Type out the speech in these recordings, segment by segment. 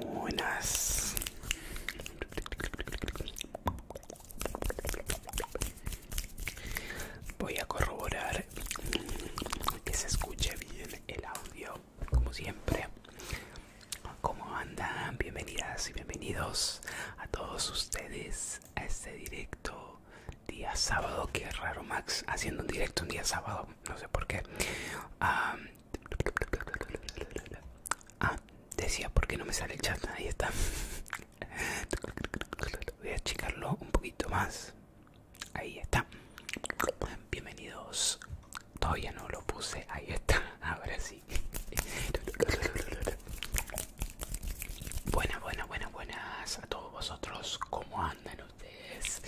Buenas. Voy a corroborar que se escuche bien el audio, como siempre. ¿Cómo andan? Bienvenidas y bienvenidos a todos ustedes a este directo día sábado, que raro Max haciendo un directo un día sábado, no sé por qué. Ah, ah, decía, ¿por qué no me sale el chat? Ahí está. Voy a achicarlo un poquito más. Ahí está. Bienvenidos. Todavía no lo puse. Ahí está. Ahora sí. Buenas, buenas, buenas, buenas a todos vosotros. ¿Cómo andan ustedes?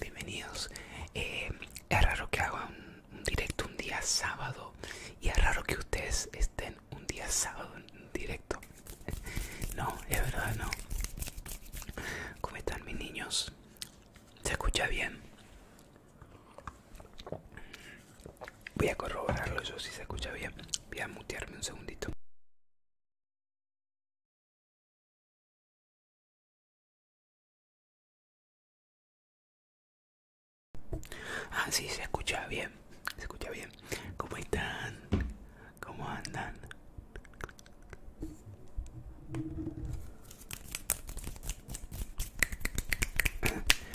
Bienvenidos. Eh, es raro que haga un, directo un día sábado y es raro que ustedes estén un día sábado en directo. No, es verdad, no. ¿Cómo están mis niños? ¿Se escucha bien? Voy a corroborarlo yo si se escucha bien. Voy a mutearme un segundito. Ah, sí, se escucha bien, se escucha bien. ¿Cómo están? ¿Cómo andan?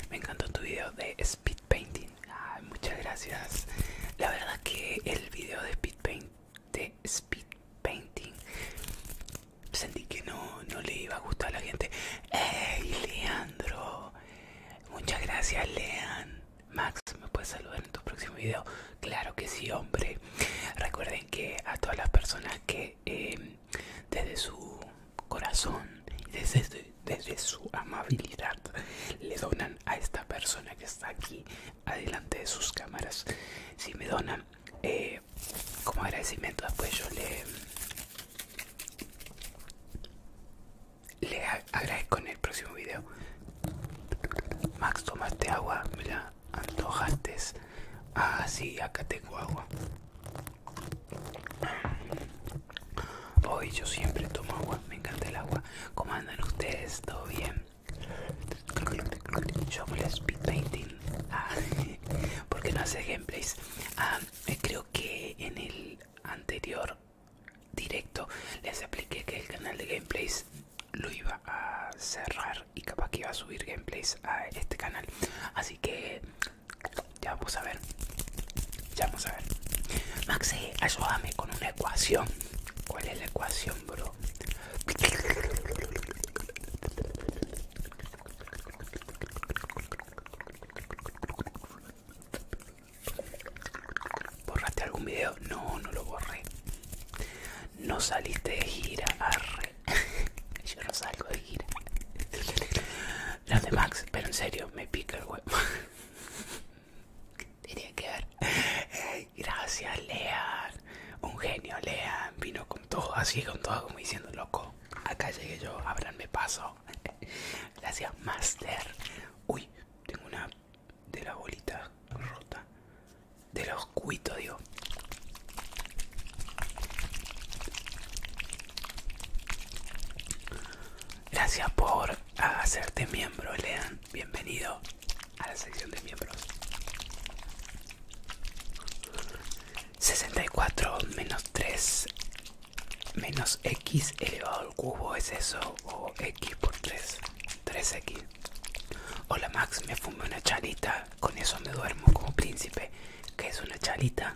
Me encantó tu video de speed painting muchas gracias. La verdad que el video de speed paint, speed painting, sentí que no, le iba a gustar a la gente. ¡Ey, Leandro! Muchas gracias, Lean. Max, ¿me puedes saludar en tu próximo video? Claro que sí, hombre. Recuerden que a todas las personas que eh, desde su corazón, desde, desde su amabilidad le donan a esta persona que está aquí adelante de sus cámaras si me donan eh, como agradecimiento después pues yo le le agradezco en el próximo video Max tomaste agua mira la antojaste ah sí acá tengo agua Hoy yo siempre tomo agua, me encanta el agua. ¿Cómo andan ustedes? ¿Todo bien? Yo me speed painting. Ah, porque no hace gameplays. Ah, eh, creo que en el anterior directo les expliqué que el canal de gameplays lo iba a cerrar y capaz que iba a subir gameplays a este canal. Así que ya vamos a ver. Ya vamos a ver. Maxi, ayúdame con un ecuación? ¿Cuál es la ecuación, bro? ¿Borraste algún video? No, no lo borré. No saliste de gira, arre. Yo no salgo de gira. Las de Max, pero en serio, me pica el huevo. Tenía que ver. gracias, Lean. Un genio, Lean. Vino con todo, así con todo, como diciendo, loco. Acá llegué yo, abranme paso. gracias, Master. Uy, tengo una de la bolita rota. De los cuitos, digo. Gracias por hacerte miembro, Lean bienvenido a la sección de miembros. 64 menos 3 menos x elevado al cubo es eso o x por 3 3x hola max me fume una charita con eso me duermo como príncipe que es una charita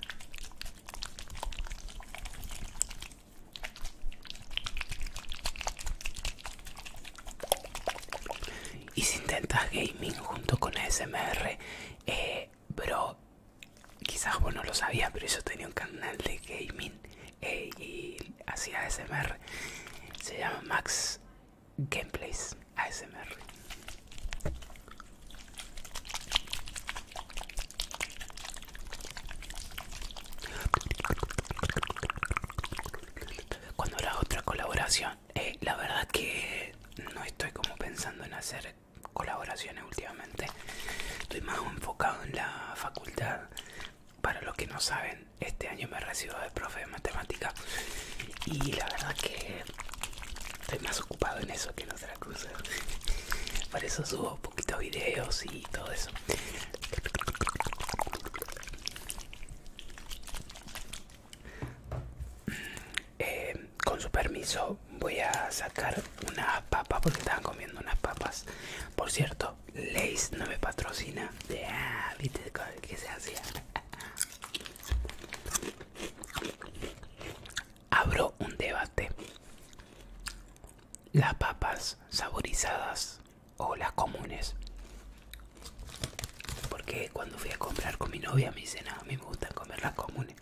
y si intentas gaming junto con ASMR, pero eh, bro, quizás vos no lo sabías, pero yo tenía un canal de gaming eh, y hacía ASMR. Se llama Max Gameplays ASMR. Cuando habrá otra colaboración, eh, la verdad que no estoy como pensando en hacer colaboraciones últimamente. Estoy más enfocado en la facultad. Para los que no saben, este año me recibo de profe de matemática y la verdad que estoy más ocupado en eso que en otras cosas. Por eso subo poquitos videos y y todo eso. Eh, con su permiso voy a sacar unas papas porque estaba comiendo unas papas. Por cierto, Lace no me patrocina. de ¿Viste se hacía? Abro un debate. Las papas saborizadas o las comunes porque cuando fui a comprar con mi novia me dice a mí me gusta comer las comunes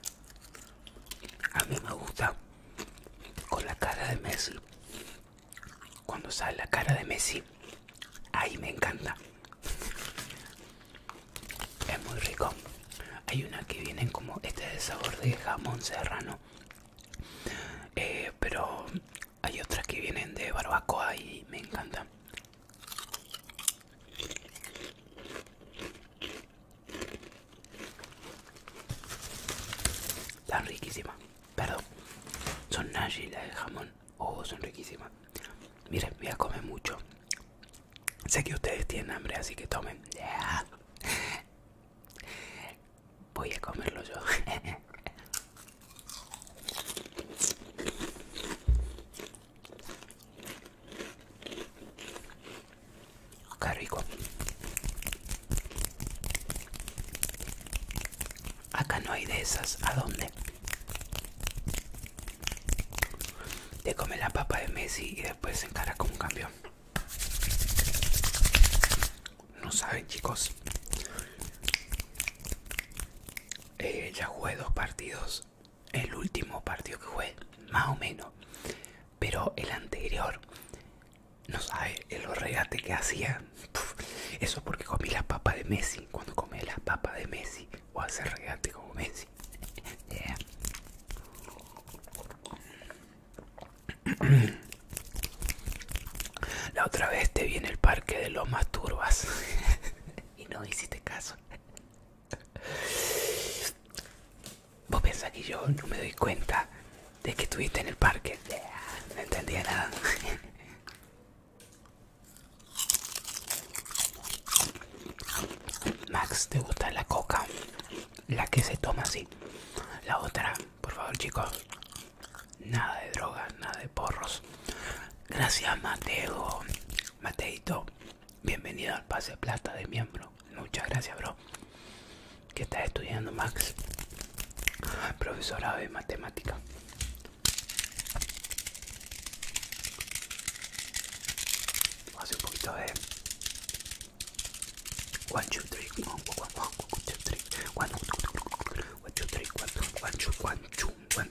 a mí me gusta con la cara de Messi cuando sale la cara de Messi ahí me encanta es muy rico hay una que vienen como este de sabor de jamón serrano eh, pero hay otras que vienen de barbacoa y me encantan. Están riquísimas. Perdón. Son nashi las de jamón. Oh, son riquísimas. Miren, voy a comer mucho. Sé que ustedes tienen hambre, así que tomen. voy a comerlo yo. Qué Acá no hay de esas. ¿A dónde? Te come la papa de Messi y después se encara como un campeón. No saben chicos. Eh, ya jugué dos partidos. El último partido que jugué, más o menos. Pero el anterior, no sabe el regate que hacía. eso porque comí las papas de Messi. Cuando comí las papas de Messi, o hacer regate como Messi. La otra vez te vi en el parque de Lomas Turbas y no hiciste caso. Vos pensás que yo no me doy cuenta de que estuviste en el parque. No entendía nada. Max, ¿te gusta la coca? La que se toma así. La otra por favor, chicos. Nada de drogas, nada de porros. Gracias, Mateo. Mateito, bienvenido al pase plata de miembro. Muchas gracias, bro. ¿Qué estás estudiando, Max? Profesora de matemática. Hace un poquito de... One, 1, 2, 3, one, two, one,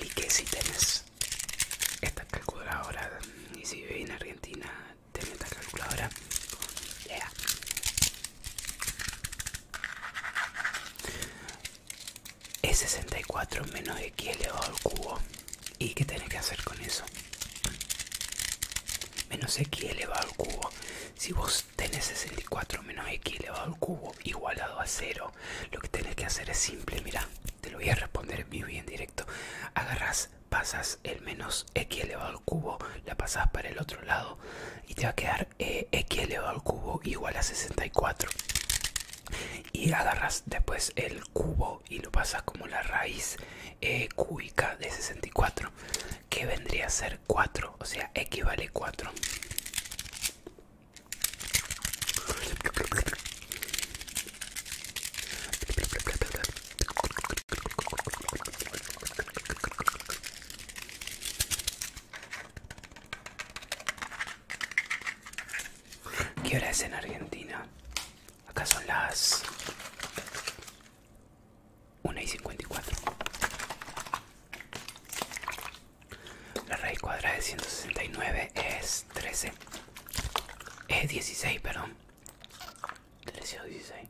lique. si tenés esta calculadora y si vive en Argentina, tenés esta calculadora. Es 64 menos elevado al cubo ¿Y qué tenés que hacer con eso? Menos x elevado al cubo. Si vos tenés 64 menos x elevado al cubo igualado a 0, lo que tenés que hacer es simple. Mira, te lo voy a responder en bien directo. Agarras, pasas el menos x elevado al cubo, la pasas para el otro lado y te va a quedar eh, x elevado al cubo igual a 64. Y agarras después el cubo y lo pasas como la raíz eh, cúbica de 64 que vendría a ser 4 o sea equivale 4 ¿Qué hora es en Argentina? Acá son las 1 y 54. La raíz cuadrada de 169 es 13. Es 16, perdón. 13 o 16.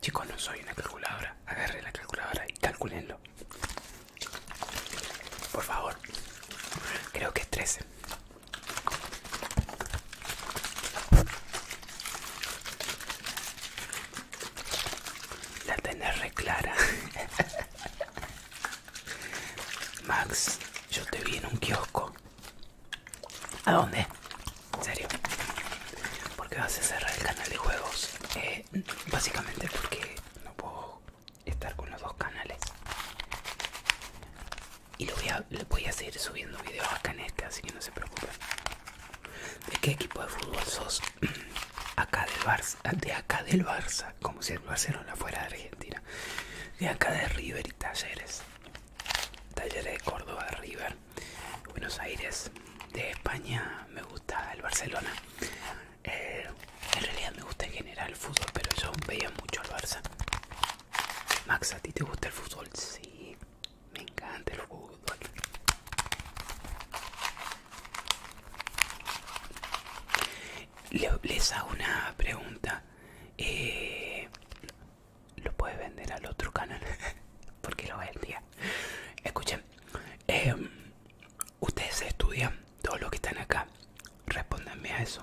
Chicos, no soy una calculadora. Agarren la calculadora y calculenlo. Por favor. Creo que es 13. La tenés re clara. Max, yo te vi en un kiosco. ¿A dónde? ¿En serio? ¿Por qué vas a cerrar el canal de juegos? Eh, básicamente porque no puedo estar con los dos canales. Y lo voy a, le voy a seguir subiendo videos acá en este, así que no se preocupen. ¿De qué equipo de fútbol sos? acá del Barça, ah, de acá del Barça, como si el Barcelona fuera de Argentina. De acá de River y Talleres. Talleres de Córdoba, de River, Buenos Aires, de España me gusta el Barcelona. Eh, en realidad me gusta en general el fútbol, pero yo veía mucho al Barça. Max, ¿a ti te gusta el fútbol? Sí, me encanta el fútbol. Les hago una pregunta. Eh, ¿Lo puedes vender al otro canal? Porque lo vendía. Escuchen, eh, ustedes estudian, todos los que están acá, respóndanme a eso.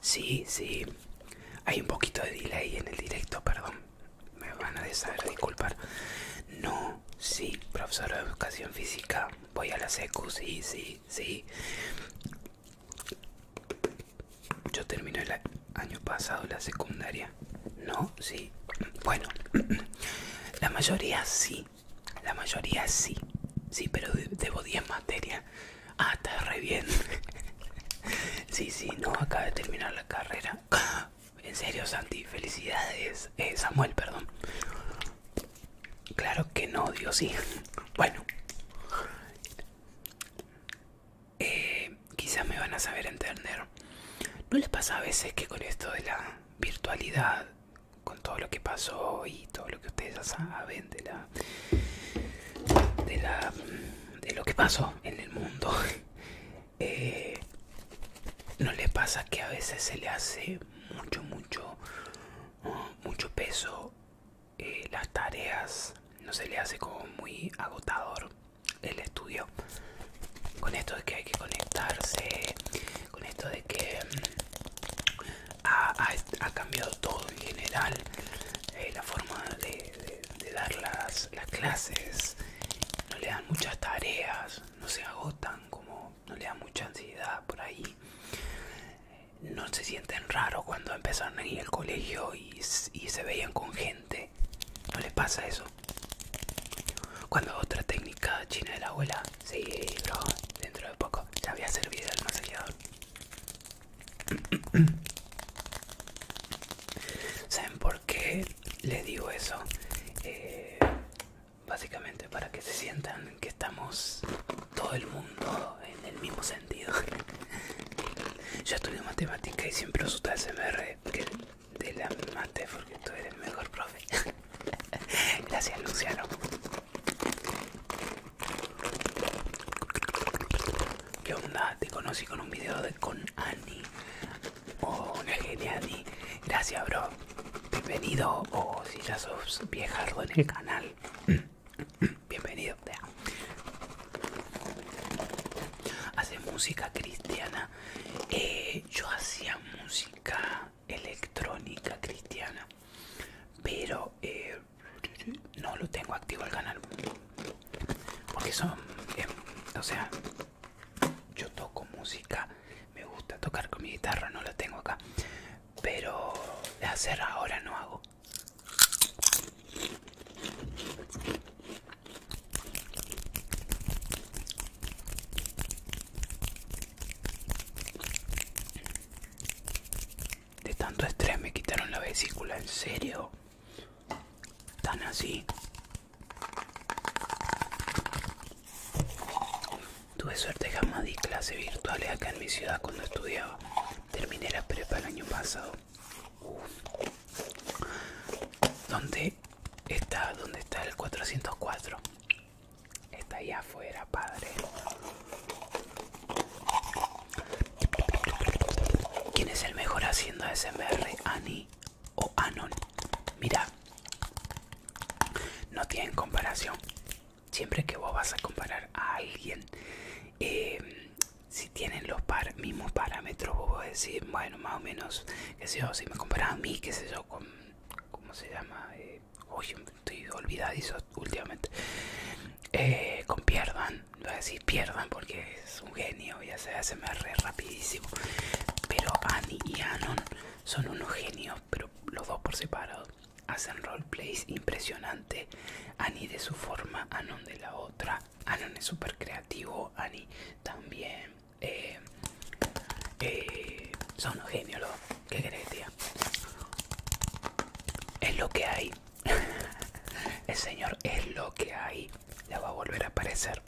Sí, sí. Hay un poquito de delay en el directo, perdón. Me van a deshacer, disculpar. No, sí, profesor de educación física. Voy a la secu, sí, sí, sí. Yo terminé el año pasado la secundaria. No, sí. Bueno, la mayoría sí. La mayoría sí. Sí, pero debo 10 materias. Ah, está re bien. sí, sí, no, acaba de terminar la carrera. En serio, Santi, felicidades. Eh, Samuel, perdón. Claro que no, Dios sí. Bueno. Eh, quizás me van a saber entender. ¿No les pasa a veces que con esto de la virtualidad, con todo lo que pasó y todo lo que ustedes ya saben de la de lo que pasó en el mundo eh, no le pasa que a veces se le hace mucho mucho mucho peso eh, las tareas no se le hace como muy agotador el estudio con esto de que hay que conectarse con esto de que ha, cambiado todo en general, eh, la forma de, dar las, las clases, no le dan muchas tareas, no se agotan, como no le dan mucha ansiedad por ahí, no se sienten raros cuando empezaron a ir colegio y, y se veían con gente, no les pasa eso. Cuando otra técnica china de la abuela, sí, dentro de poco ya había servido el masajeador ¿Saben por qué le digo eso? Eh, básicamente para que se sientan que estamos todo el mundo en el mismo sentido. Yo estudio matemática y siempre uso el que de la mate porque tú eres el mejor profe. Gracias Luciano. ¿Qué onda? Te conocí con un video de con Ani Oh, una genia Annie Gracias, bro. Bienvenido. O oh, si ya sos viejardo en el canal. Bienvenido. Hace música cristiana. Eh, yo hacía música electrónica cristiana. Pero eh, no lo tengo activo el canal porque son eh, o sea yo toco música me gusta tocar con mi guitarra no la tengo acá pero de hacer ahora no hago de tanto estrés me quitaron la vesícula, ¿en serio? Tan así. Tuve suerte, jamás di clases virtuales acá en mi ciudad cuando estudiaba. Terminé la prepa el año pasado. ¿Dónde está? ¿Dónde está el 404? Está ahí afuera, padre. ¿Quién es el mejor haciendo SMR, ¿Ani o Anon? Mira, no tienen comparación. Siempre que vos vas a comparar a alguien, em, si tienen los mismos parámetros, vos vas a decir, bueno, más o menos, qué sé yo, si me comparan a mí, qué sé yo, con, ¿cómo se llama? Eh, uy, estoy olvidadizo últimamente. Eh, con Pierdan, voy a decir pierdan porque es un genio, ya se hace me re rapidísimo. Pero Annie y Anon son unos genios, pero los dos por separado. Hacen roleplays impresionante. Annie de su forma, Anon de la otra. Anon es súper creativo, Annie también. Eh, eh, son unos genios los dos. ¿Qué querés, Es lo que hay El señor es lo que hay. Ya va a volver a aparecer.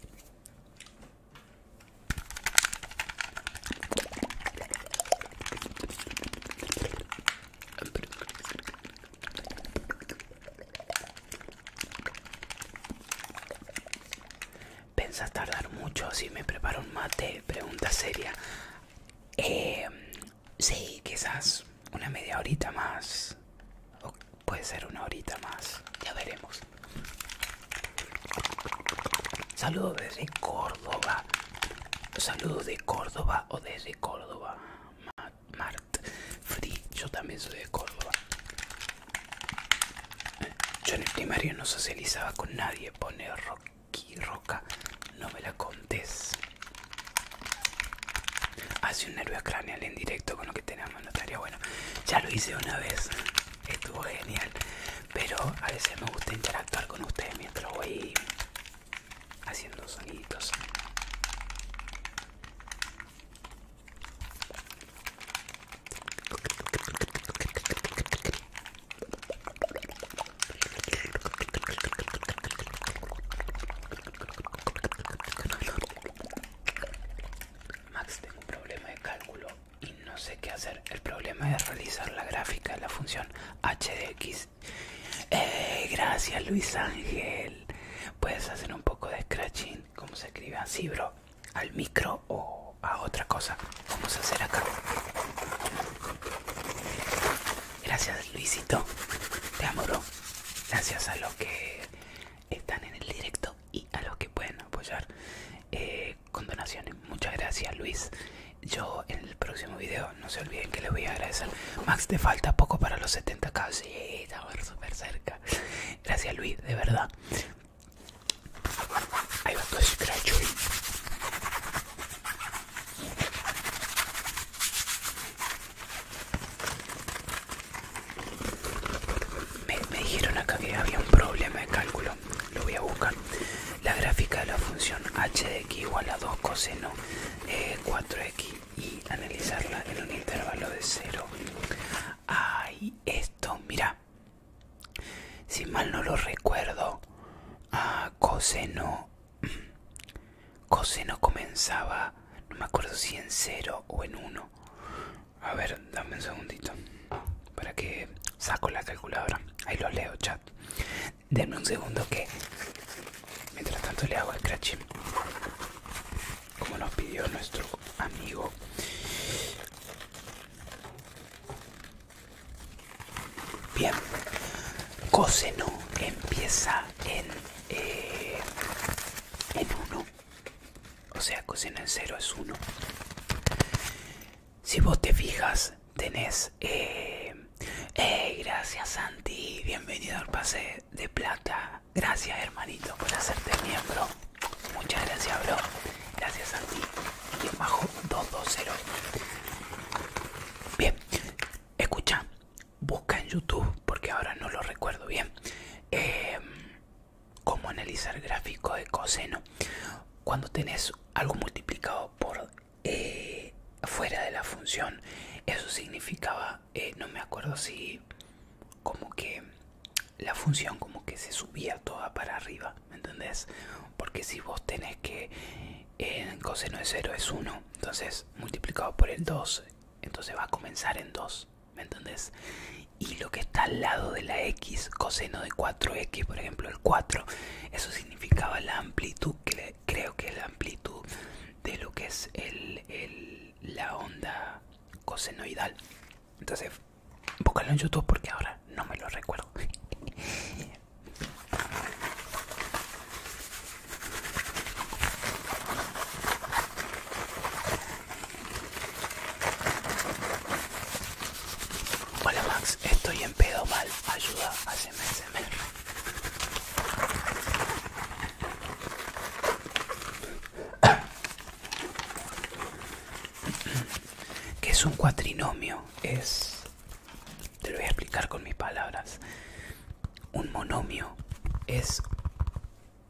¿Pensas tardar mucho si me preparo un mate? Pregunta seria. Eh, Sí, quizás una media horita más. O puede ser una horita más. Ya veremos. Saludos desde Córdoba. Saludos de Córdoba o desde Córdoba. Mart Free, yo también soy de Córdoba. Yo en el primario no socializaba con nadie, pone Rocky Roca, no me la contés. Hace un nervio craneal en directo con lo que tenemos, no bueno. Ya lo hice una vez, estuvo genial. Pero a veces me gusta interactuar con ustedes mientras voy haciendo soniditos. Max, tengo un problema de cálculo y no sé qué hacer. El problema es realizar la gráfica de la función HDX. Eh, gracias, Luis Ángel. Puedes hacer un poco de scratching. Como se escribe así, bro? ¿Al micro o a otra cosa? Vamos a hacer acá. Gracias Luisito, te amo Gracias a los que están en el directo y a los que pueden apoyar eh, con donaciones. Muchas gracias Luis. Yo en el próximo video, no se olviden que les voy a agradecer. Max, te falta poco para los 70k. Sí, estamos súper cerca. Gracias Luis, de verdad. Ahí va todo me, dijeron acá que había un problema de cálculo, lo voy a buscar. La gráfica de la función h de x igual a 2 coseno de eh, 4x y analizarla en un intervalo de 0. Ay, esto, mira. Si mal no lo recuerdo, a ah, coseno mm, coseno comenzaba, no me acuerdo si en 0 o en 1. A ver, dame un segundito. Para que saco la calculadora. Ahí lo leo, chat. Denme un segundo que... Mientras tanto le hago el scratching. Como nos pidió nuestro amigo. Bien. Coseno empieza en eh, en uno O sea, cocina en 0 es 1. Si vos te fijas, tenés... Eh, eh, gracias Santi, bienvenido al pase de plata. Gracias hermanito por hacerte miembro. Muchas gracias, bro. Gracias Santi. Y bajo 220. Bien, escucha, busca en YouTube, porque ahora no lo recuerdo bien, eh, cómo analizar gráfico de coseno. Cuando tenés algo multiplicado por eh, fuera de la función, eso significaba, eh, no me acuerdo si como que la función como que se subía toda para arriba, ¿me entendés? Porque si vos tenés que el coseno de 0 es 1, entonces multiplicado por el 2 entonces va a comenzar en 2, ¿me entendés? Y lo que está al lado de la x, coseno de 4x, por ejemplo el 4, eso significaba la amplitud, creo que la amplitud de lo que es la onda cosenoidal. Entonces, búscalo en YouTube porque ahora no me lo recuerdo. Hola Max, estoy en pedo mal, ayuda, a SMS ¿Qué es un cuatrinomio? Es... Te lo voy a explicar con mis palabras. Un monomio es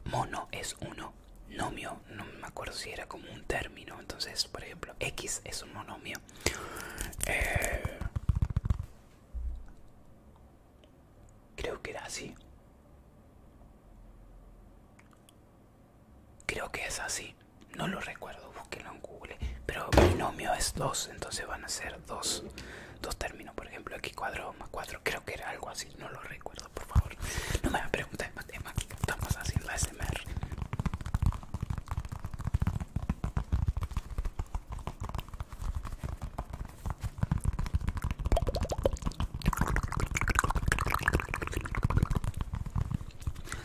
mono es uno, nomio, no me acuerdo si era como un término, entonces por ejemplo x es un monomio. Eh, creo que era así. Creo que es así, no lo recuerdo, búsquenlo en Google, pero monomio es dos, entonces van a ser dos, dos términos, por ejemplo, x cuadrado más 4, creo que era algo así, no lo recuerdo, por favor. No me preguntes matemáticas, estamos haciendo SMR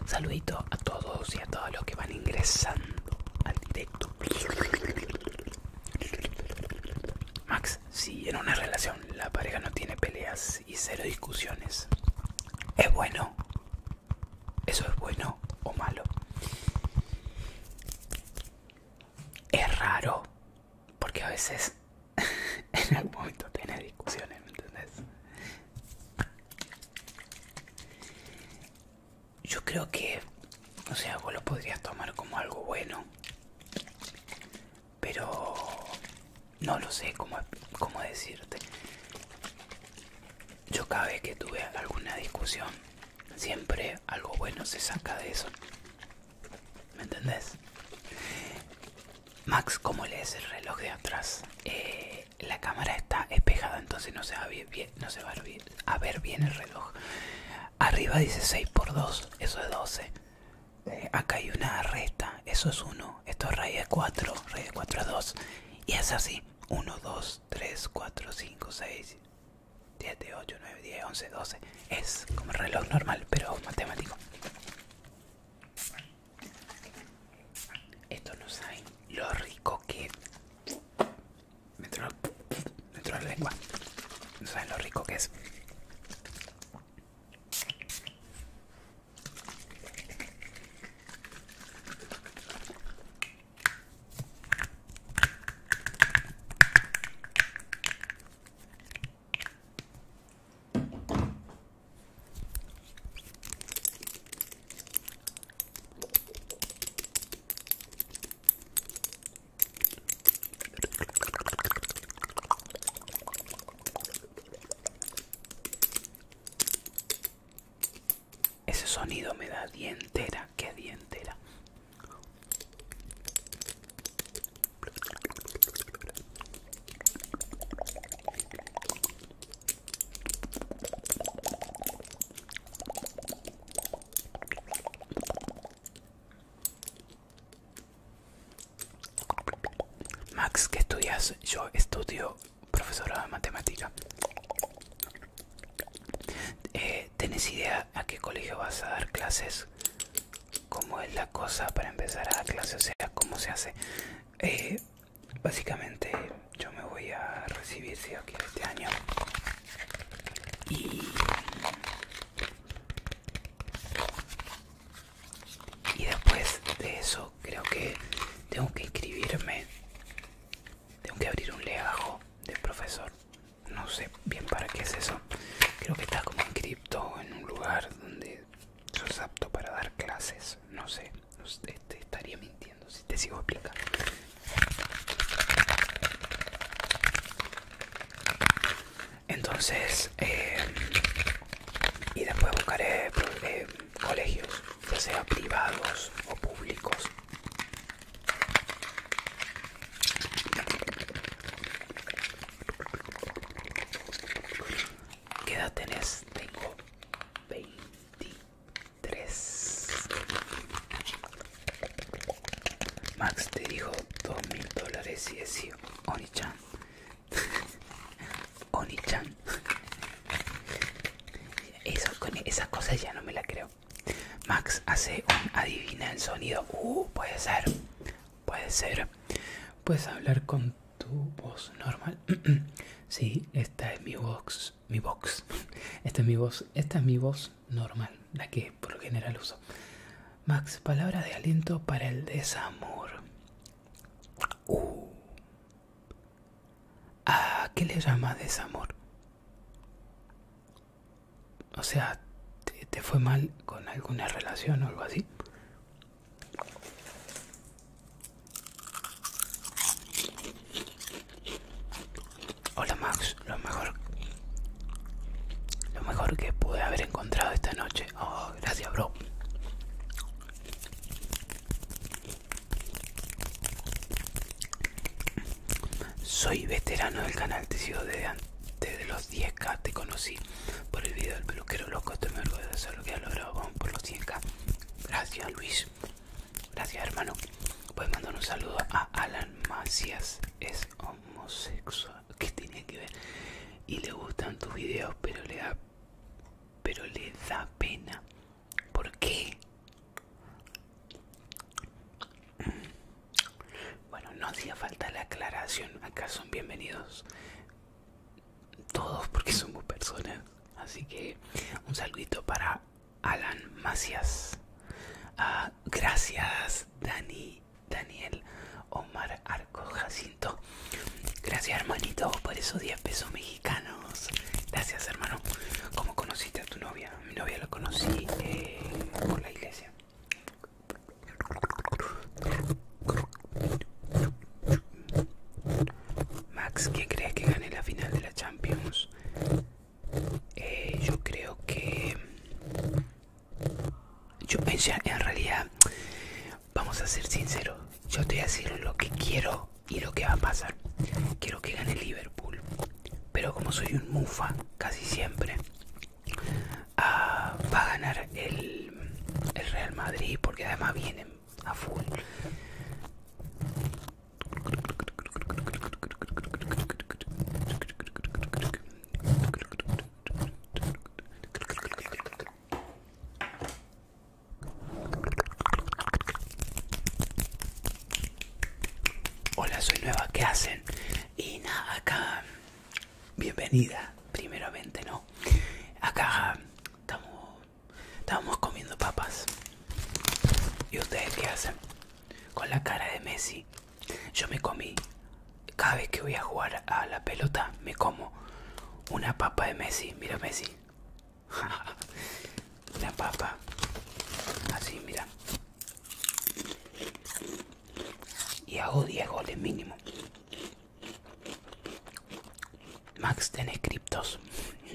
Saludito a todos y a todos los que van ingresando al directo. Max, si en una relación la pareja no tiene peleas y cero discusiones, ¿es bueno? ¿Eso es bueno o malo? Es raro, porque a veces en algún momento tiene discusiones, ¿me entendés? Yo creo que o sea, vos lo podrías tomar como algo bueno. Pero no lo sé cómo, decirte. Yo cada vez que tuve alguna discusión, siempre algo bueno se saca de eso. ¿Me entendés? Max, ¿cómo lees el reloj de atrás? Eh, la cámara está espejada, entonces no se va a ver bien el reloj. Arriba dice 6 por 2, eso es 12. Eh, acá hay una resta, eso es 1. Esto es raíz de 4, raíz de 4 es 2. Y es así. 1, 2, 3, 4, 5, 6, 7, 8, 9, 10, 11, 12. Es como el reloj normal, pero matemático. Esto no sabe lo rico que dentro de la lengua. No saben lo rico que es. Ese sonido me da dientera, que dientera. Max, ¿qué estudias? Yo estudio profesora de matemática. Eh, ¿Tienes idea a qué colegio vas a dar clases? ¿Cómo es la cosa para empezar a dar clases? O sea, ¿cómo se hace? Eh, básicamente yo me voy a recibir aquí este año y después de eso creo que tengo que inscribirme. Tengo que abrir un legajo del profesor. No sé bien para qué es eso. Creo que está como inscripto en un lugar donde es apto para dar clases. No sé. Este, estaría mintiendo si te sigo explicando entonces eh, y después buscaré eh, colegios ya sea privados o públicos ¿Qué edad tenés? Tengo 23 Max te dijo dos mil dólares y es Oni-chan. Esas cosas ya no me la creo. Max hace un adivina el sonido. Uh, puede ser. Puede ser. Puedes hablar con tu voz normal. sí, esta es mi voz. Mi voz. Esta es mi voz. Esta es mi voz normal. La que por lo general uso. Max, palabra de aliento para el desamor. Uh. ¿A ah, qué le llama desamor? O sea, te fue mal con alguna relación o algo así. Hola Max, lo mejor lo mejor que pude haber encontrado esta noche. Oh, gracias, bro. Soy veterano del canal, te sido desde antes de los 10k, te conocí por el video del peluquero loco, estoy me orgulloso de lo que ha logrado por los 100k. Gracias Luis, gracias hermano. Puedes mandar un saludo a Alan Macias es homosexual que tiene que ver y le gustan tus videos pero le da pero le da pena ¿por qué? Mm. bueno no hacía falta la aclaración acá son bienvenidos todos porque somos personas así que un saludito para Alan Macias ah, gracias Dani Daniel Omar Arco Jacinto. Gracias hermanito por esos 10 pesos mexicanos. Gracias hermano. ¿Cómo conociste a tu novia? Mi novia la conocí eh, por la iglesia. Max, ¿qué crees que gane la final de la Champions? Eh, yo creo que yo, pensé en realidad, vamos a ser sinceros, yo te voy a decir lo que quiero y lo que va a pasar. Quiero que gane Liverpool, pero como soy un mufa casi siempre, ah, va a ganar el, el Real Madrid porque además vienen a full. Hola, soy nueva, ¿qué hacen? Y nada, acá, bienvenida, primeramente, ¿no? Acá estamos, comiendo papas. ¿Y ustedes qué hacen? Con la cara de Messi yo me comí, cada vez que voy a jugar a la pelota, me como una papa de Messi. Mira Messi. la papa. Así, mira. Y hago 10 goles mínimo. Max, ¿tenés criptos?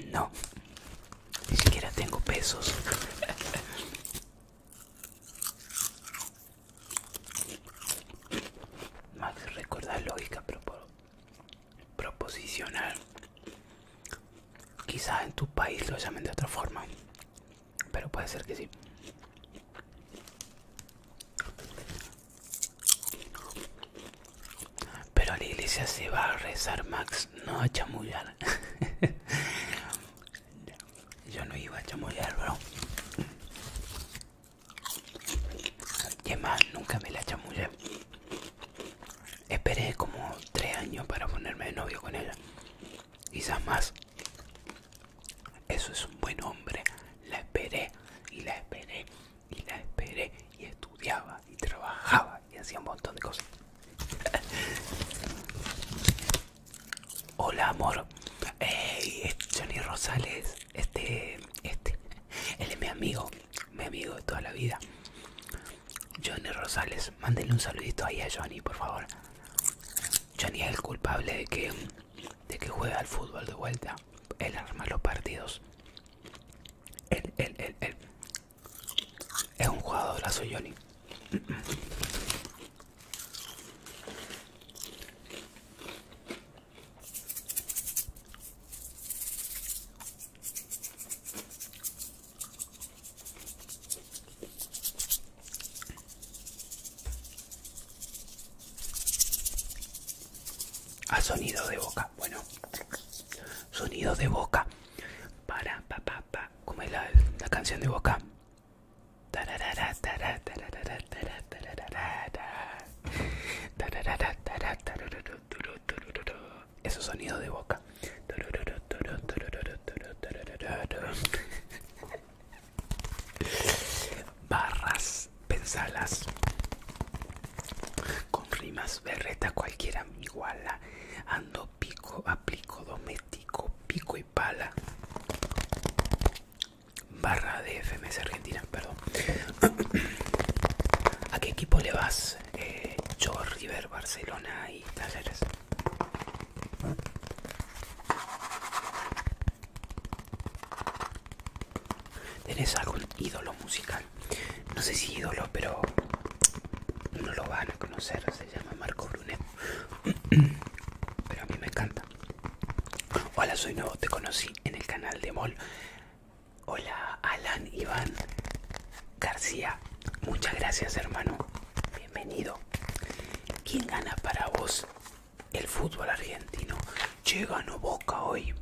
No. Ni siquiera tengo pesos. Max recuerda lógica proposicional. Quizás en tu país lo llamen de otra forma, pero puede ser que sí. Pero la iglesia se va a rezar, Max, no a chamullar. Yo no iba a chamullar, bro. Y además nunca me la chamullé. Esperé como tres años para ponerme de novio con ella. Quizás más. Eso es un buen hombre. La esperé y la esperé y la esperé y estudiaba y trabajaba y hacía un montón de cosas. Hola amor, Johnny Rosales, este, este, él es mi amigo, mi amigo de toda la vida. Johnny Rosales, mándenle un saludito ahí a Johnny, por favor. Johnny es el culpable de que, de que juega al fútbol de vuelta. Él arma los partidos. Él, él, él, él. Es un jugadorazo Johnny. A sonido de boca, bueno, sonido de boca para, pa, pa, pa, como es la canción de boca. Eso sonido de boca. Barras, pensalas. Con rimas, berreta cualquiera iguala. Ando pico, aplico, doméstico, pico y pala barra de FMS Argentina, perdón. ¿A qué equipo le vas? George eh, River, Barcelona y Talleres. ¿Tenés algún ídolo musical? No sé si ídolo, pero uno lo van a conocer. Se llama Marco Brunet. Pero a mí me encanta. Hola, soy nuevo, te conocí en el canal de Mol. Hola, Alan Iván García. Muchas gracias, hermano. Bienvenido. ¿Quién gana para vos el fútbol argentino? Llega o Boca hoy.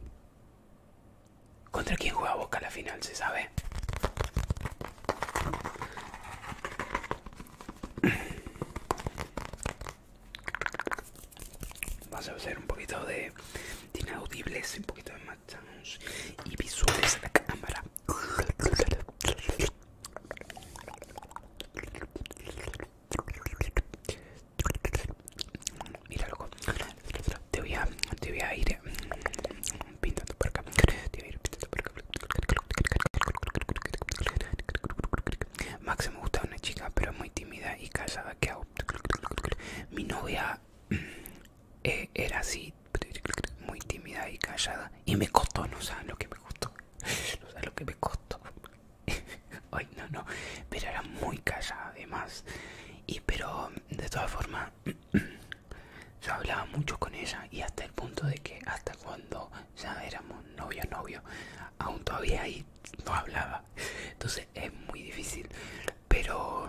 ¿Contra quién juega Boca la final, se sabe? Vas a hacer un poquito de, inaudibles, un poquito de matamos y visuales en la cámara. Mira loco, te voy a, te voy a ir mm, pintando por acá. Te voy a ir pintando por acá. Max me gustaba una chica, pero muy tímida y callada. Que Mi novia mm, eh, era así, muy tímida y callada. Y me costó, no sabes lo que me costó. No sé lo que me costó. Ay, no, no. Pero era muy callada, además. Y pero, de todas formas, yo hablaba mucho con ella y hasta el punto de que hasta cuando ya éramos novio, novio, aún todavía ahí no hablaba. Entonces es muy difícil, pero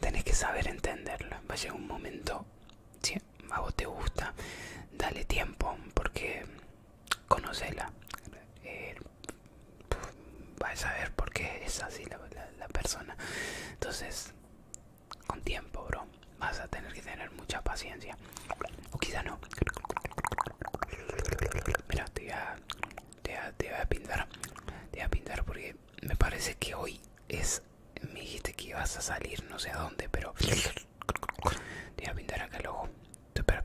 tenés que saber entenderlo. Va a llegar un momento, si a vos te gusta, dale tiempo, porque conocela. Eh, vas a saber por qué es así la persona. Entonces, con tiempo, bro, vas a tener que tener mucha paciencia. O quizá no. Mira, te voy a, te a, te a pintar. Te voy a pintar porque me parece que hoy es... Me dijiste que ibas a salir no sé a dónde, pero... Te voy a pintar acá el ojo. Espera.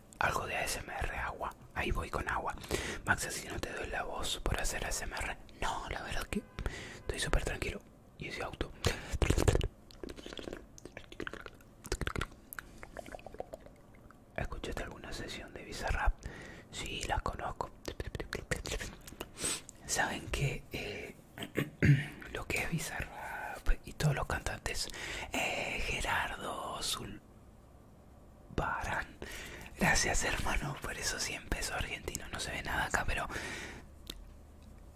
algo de ASMR agua. Ahí voy con agua. Max, si no te doy la voz por hacer ASMR. No, la verdad que estoy súper tranquilo. Y ese auto. ¿Escuchaste alguna sesión de Bizarrap? Sí, la conozco. Saben que eh, lo que es Bizarrap y todos los cantantes, eh, Gerardo, Azul. Gracias hermano por esos 100 pesos argentinos. No se ve nada acá, pero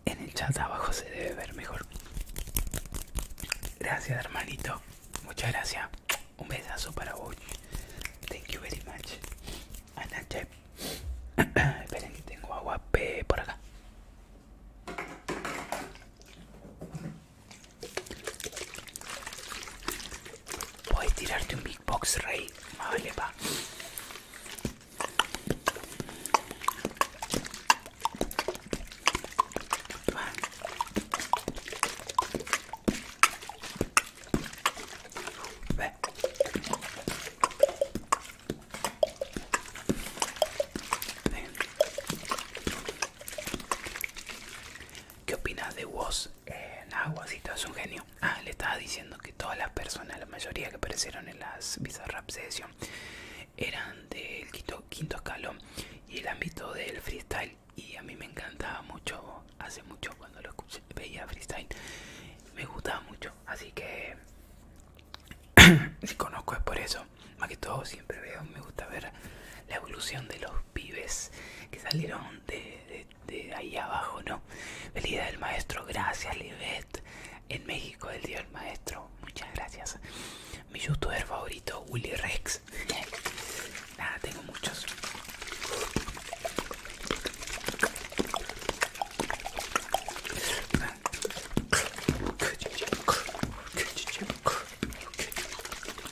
en el chat abajo se debe ver mejor. Gracias hermanito. Muchas gracias. Un besazo para vos. Thank you very much. Esperen que tengo agua por acá. Puedes tirarte un big box, rey. vale, va. ¿Qué opinas de vos? en eh, Aguasito? es un genio. Ah, le estaba diciendo que todas las personas, la mayoría que aparecieron en las Rap Session, eran del quinto, escalón y el ámbito del freestyle. Y a mí me encantaba mucho, hace mucho cuando lo escuché, veía freestyle, me gustaba mucho. Así que si conozco es por eso. Más que todo siempre veo, me gusta ver la evolución de los pibes que salieron de, ahí abajo, ¿no? Feliz día del maestro, gracias Libet. En México, del día del maestro, muchas gracias. Mi youtuber favorito, Willy Rex. Nada, tengo muchos.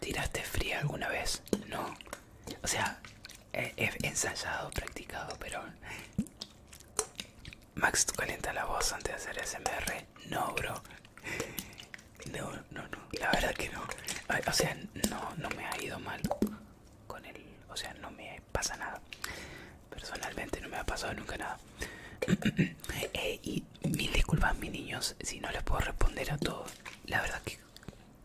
¿Tiraste fría alguna vez? No. O sea, he, ensayado, practicado, pero... Max, ¿tú calienta la voz antes de hacer SMR? No, bro. No, no, no. La verdad que no. o sea, no, no me ha ido mal con él O sea, no me pasa nada. Personalmente no me ha pasado nunca nada. Eh, mil disculpas, mis niños, si no les puedo responder a todos. La verdad que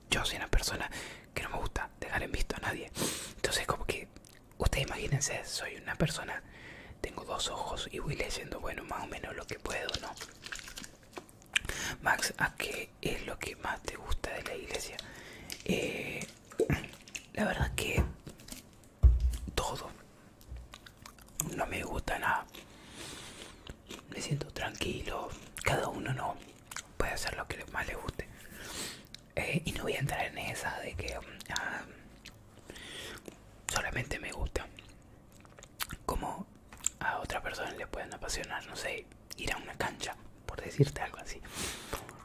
yo soy una persona que no me gusta dejar en visto a nadie. Entonces, como que, ustedes imagínense, soy una persona, tengo dos ojos y voy leyendo, bueno, más o menos lo que puedo, ¿no? Max, ¿a qué es lo que más te gusta de la iglesia? Eh, la verdad que todo, no me gusta nada. Me siento tranquilo. Cada uno no puede hacer lo que más le guste. Eh, y no voy a entrar en esa de que ah, solamente me gusta. Como a otra persona le pueden apasionar, no sé, ir a una cancha, por decirte algo así.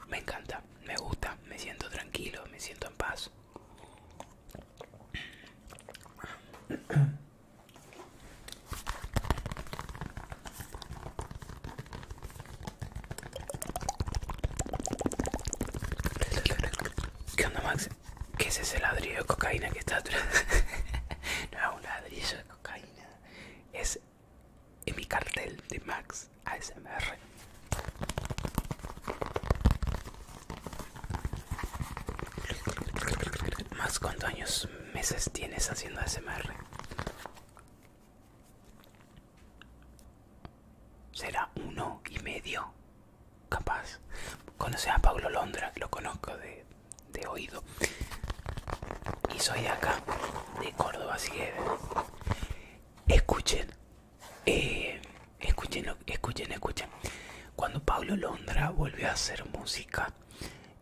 Me encanta, me gusta, me siento tranquilo, me siento en paz. ¿Qué onda, Max? ¿Qué es ese ladrillo de cocaína que está atrás? no es un ladrillo de cocaína, es en mi cartel de Max ASMR. Más cuántos años, meses tienes haciendo ASMR. Será uno y medio, capaz. conoce a Pablo Londra, lo conozco de, oído. Y soy acá, de Córdoba, así escuchen. Eh, Escuchen, escuchen, escuchen. Cuando Pablo Londra volvió a hacer música,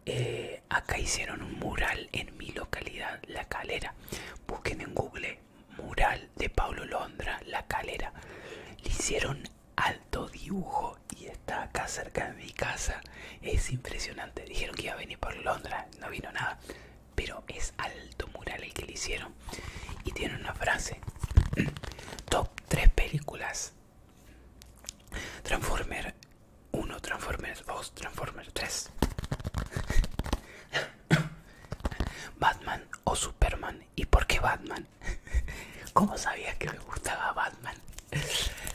eh, acá hicieron un mural en mi localidad, La Calera. Busquen en Google mural de Pablo Londra, La Calera. Le hicieron alto dibujo y está acá cerca de mi casa. Es impresionante. Dijeron que iba a venir por Londra, no vino nada. Pero es alto mural el que le hicieron. Y tiene una frase. Top 3 películas Transformer 1, Transformers 2, Transformers 3. Batman o Superman. ¿Y por qué Batman? ¿Cómo sabía que me gustaba Batman?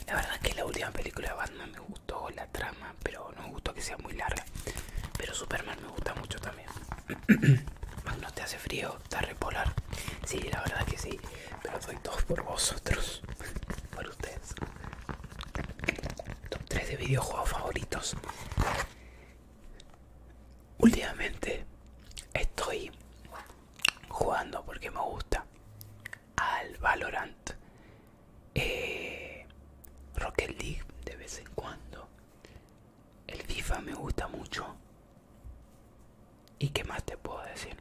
La verdad que la última película de Batman me gustó la trama, pero no me gustó que sea muy larga. Pero Superman me gusta mucho también. Magno, ¿te hace frío? ¿Te repolar? Sí, la verdad que sí, pero doy dos por vosotros, por ustedes. Top 3 de videojuegos favoritos. Últimamente estoy jugando porque me gusta al Valorant, eh, Rocket League de vez en cuando, el FIFA me gusta mucho, ¿Y qué más te puedo decir?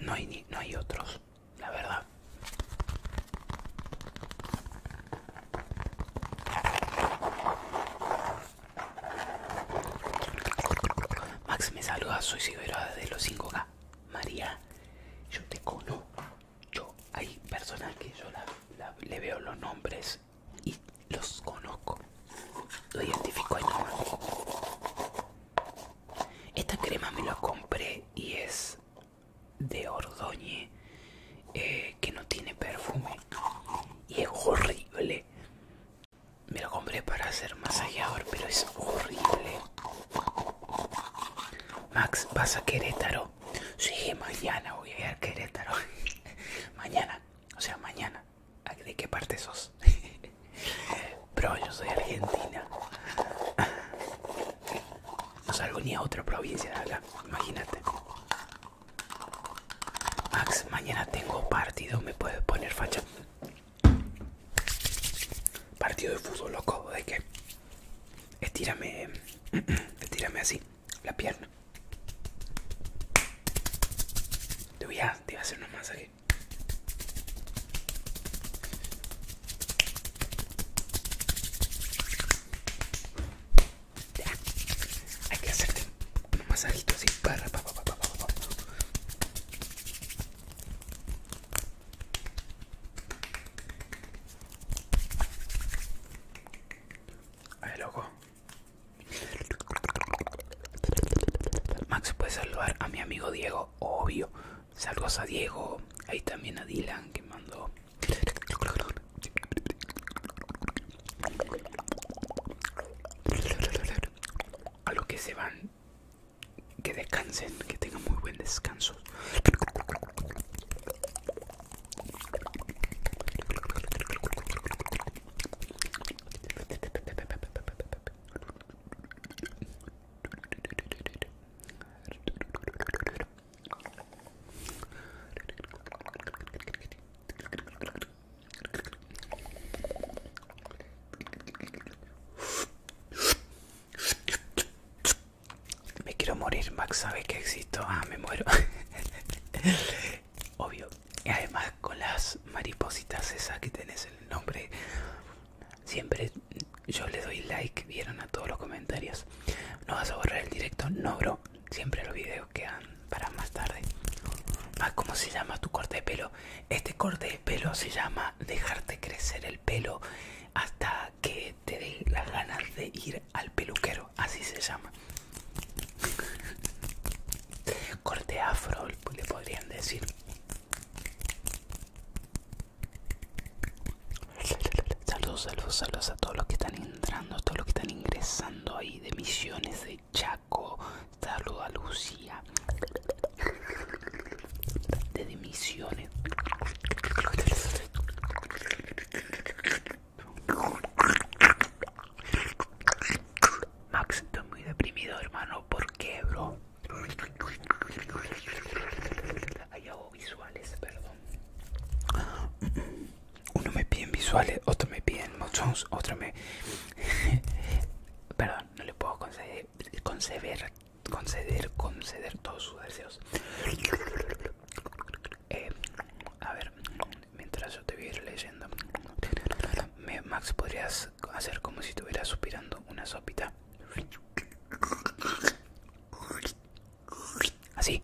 No hay, no hay otros, la verdad. Max me saluda, soy Siberada de los 5K. María, yo te conozco. Yo, hay personas que yo la, le veo los nombres y los conozco. Lo identifico Esta crema me la compré y es de Ordoñe, eh, que no tiene perfume y es horrible. Me lo compré para hacer masajeador, pero es horrible. Max, ¿vas a Querétaro? Si mañana voy a ir a Querétaro. mañana o sea, mañana. ¿De qué parte sos? Bro, yo soy argentina. No salgo ni a otra provincia de acá, imagínate. Max, mañana tengo partido, ¿me puedes poner facha? Partido de fútbol, loco, ¿de qué? Estírame, estírame así la pierna. Te voy a, te hacer un masaje. Hay que hacerte un masajito así para loco, Max puede saludar a mi amigo Diego, obvio. Saludos a Diego, ahí también a Dylan que mandó. A los que se van, que descansen, que tengan muy buen descanso. Me quiero morir, Max sabe que existo. Ah, me muero. obvio. Y además con las maripositas esas que tenés el nombre. Siempre yo le doy like, vieron a todos los comentarios. ¿No vas a borrar el directo? No, bro. Siempre los videos quedan para más tarde. Ah, ¿Cómo se llama tu corte de pelo? Este corte de pelo se llama dejarte crecer el pelo hasta que te dé las ganas de ir al peluquero así se llama. Corte afro, le podrían decir. Saludos, saludos, saludos a todos los que están entrando, a todos los que están ingresando ahí de Misiones de Chaco. Saludos a Lucía. De Misiones. Max, estoy muy deprimido, hermano. ¿Por qué, bro? Hay hago visuales, perdón. Uno me pide visuales, otro me pide mochones, otro me... perdón, no le puedo conceder, conceder, conceder, conceder todos sus deseos. Eh, a ver, mientras yo te voy leyendo. Max, podrías hacer como si estuvieras suspirando una sopita. Así.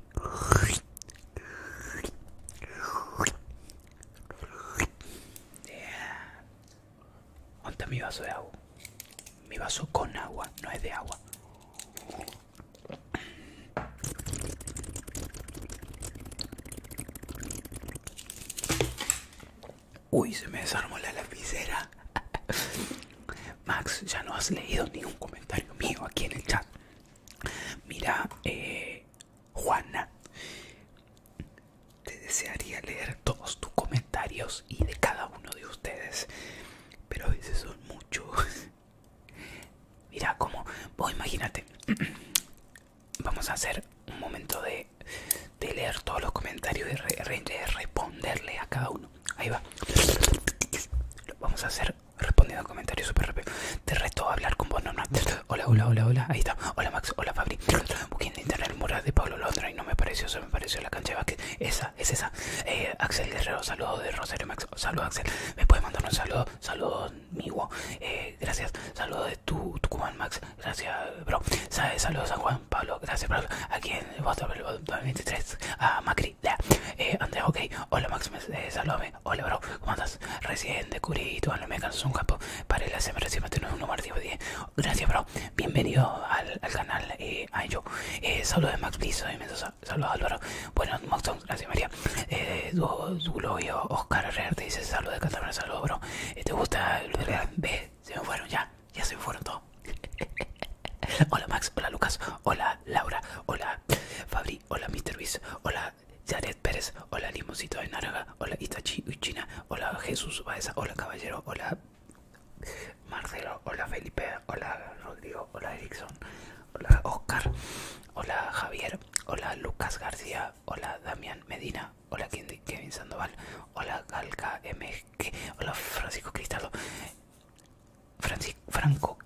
mi vaso de agua? Mi vaso con agua, no es de agua. Uy, se me desarmó la lapicera. Max, ya no has leído ningún comentario mío aquí en el chat. Mira, eh, Juana, te desearía leer todos tus comentarios y de cada uno de ustedes, pero a veces son muchos. Mira, cómo, imagínate, vamos a hacer un momento de, leer todos los comentarios y responderle a cada uno. Ahí va. Vamos a hacer respondiendo a comentarios súper rápido. Te resto a hablar con vos, Norma. Hola, hola, hola, hola. Ahí está. Hola, Max. Hola, Fabri. buscando en internet el mural de Pablo Londra y no me pareció. eso, me pareció la cancha de Esa, es esa. Eh, Axel Guerrero, saludos de Rosario Max. Saludos, Axel. ¿Me puedes mandar un saludo? Saludos, eh, gracias. Saludos de tu Tucumán Max. Gracias, bro. Saludos a Juan Pablo. Gracias, bro. Aquí en el Boston 23 a Macri. Eh, Andrés, ok. Hola, Max. Eh, saludame. Hola, bro. ¿Cómo estás Recién descubrí tu me canso un campo. Para el semana recién tenemos un número 10. Gracias, bro. Bienvenido al, al canal. Eh, yo. Eh, saludos, Max. piso soy saludos Saludos, Álvaro. Bueno, Max, gracias, María. Eh, Oscar Herrera te dice saludos de Cataluña, saludos, bro. Eh, ¿Te gusta el B? Se me fueron ya, ya se me fueron todos. hola Max, hola Lucas, hola Laura, hola Fabri, hola Mr. Luis, hola Jared Pérez, hola Limosito de Naraga, hola Itachi china hola Jesús Baeza, hola Caballero, hola Marcelo, hola Felipe, hola Rodrigo, hola Erickson, hola Oscar, hola Javier, hola Lucas García, hola, Damián Medina, hola Kevin Sandoval, hola Galca MG, hola Francisco Cristaldo, Franco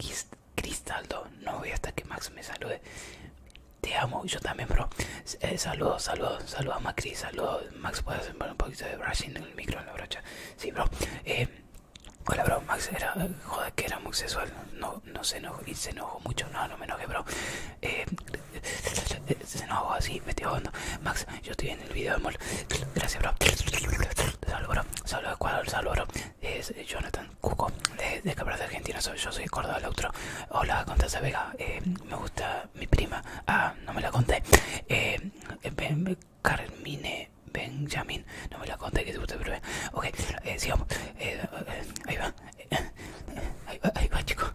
Cristaldo, no voy hasta que Max me salude. Te amo, yo también, bro. Eh, saludos, saludos, saludos a Macri, saludos. Max, puedes hacer un poquito de brushing en el micro en la brocha. Sí, bro. Eh, hola, bro. Max era, joder, que era muy sexual. No, no se enojo y se enojó mucho. No, no me enojé, bro. Se no hago así, estoy hondo. Max, yo estoy en el video de mol. Gracias, bro. Saludos, bro. Saludos, Ecuador. Saludos, Es Jonathan Cuco, de, de de Argentina. Soy, yo soy Córdoba el otro. Hola, Contasa Vega. Eh, me gusta mi prima. Ah, no me la conté. Eh, eh, Carmine Benjamin. No me la conté que te gusta, pero. Ok, sigamos. ahí va. Ahí va, chicos,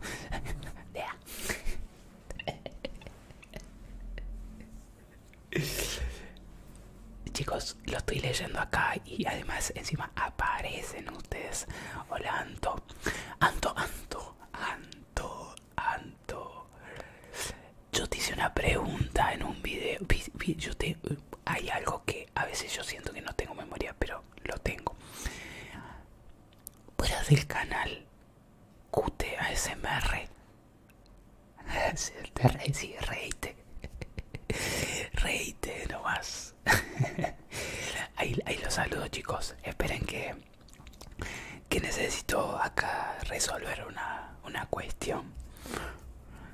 Chicos, lo estoy leyendo acá y además encima aparecen ustedes. Hola, Anto. Anto, Anto, Anto, Anto. Yo te hice una pregunta en un video. Yo eh, hay algo que a veces yo siento que no tengo memoria, pero lo tengo. Fuera del canal QT ASMR. reite sí, reíte. nomás. Ahí, los saludo chicos. Esperen que, que necesito acá resolver una, una cuestión.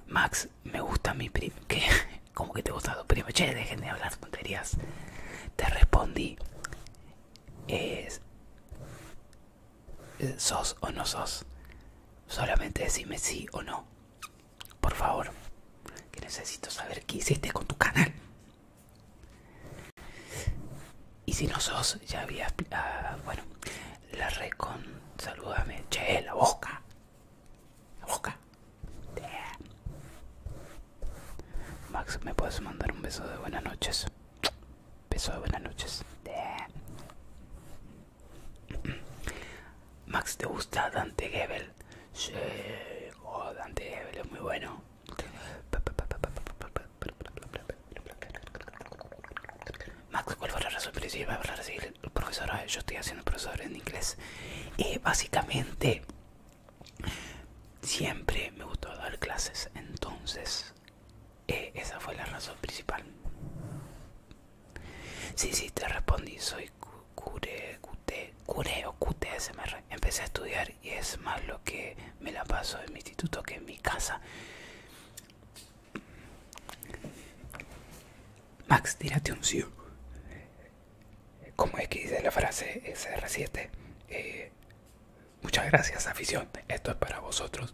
Max, me gusta mi primo. ¿Qué? como que te gustado primo, che, dejen de hablar tonterías. Te respondí, es, sos o no sos, solamente decime sí o no, por favor, que necesito saber qué hiciste con tu canal. Y si no sos, ya había, ah, bueno, la recon, salúdame che, la boca. Max, ¿me puedes mandar un beso de buenas noches? Beso de buenas noches. Max, ¿te gusta Dante Gebel? Sí, oh, Dante Gebel es muy bueno. Max, ¿cuál fue la razón profesor? Yo estoy haciendo profesor en inglés. Y básicamente Siempre me gustó dar clases, entonces eh, esa fue la razón principal. Sí, sí, te respondí, soy cure, cure o QTSMR. Empecé a estudiar y es más lo que me la paso en mi instituto que en mi casa. Max, tírate un sí como es que dice la frase SR7, eh, muchas gracias afición, esto es para vosotros.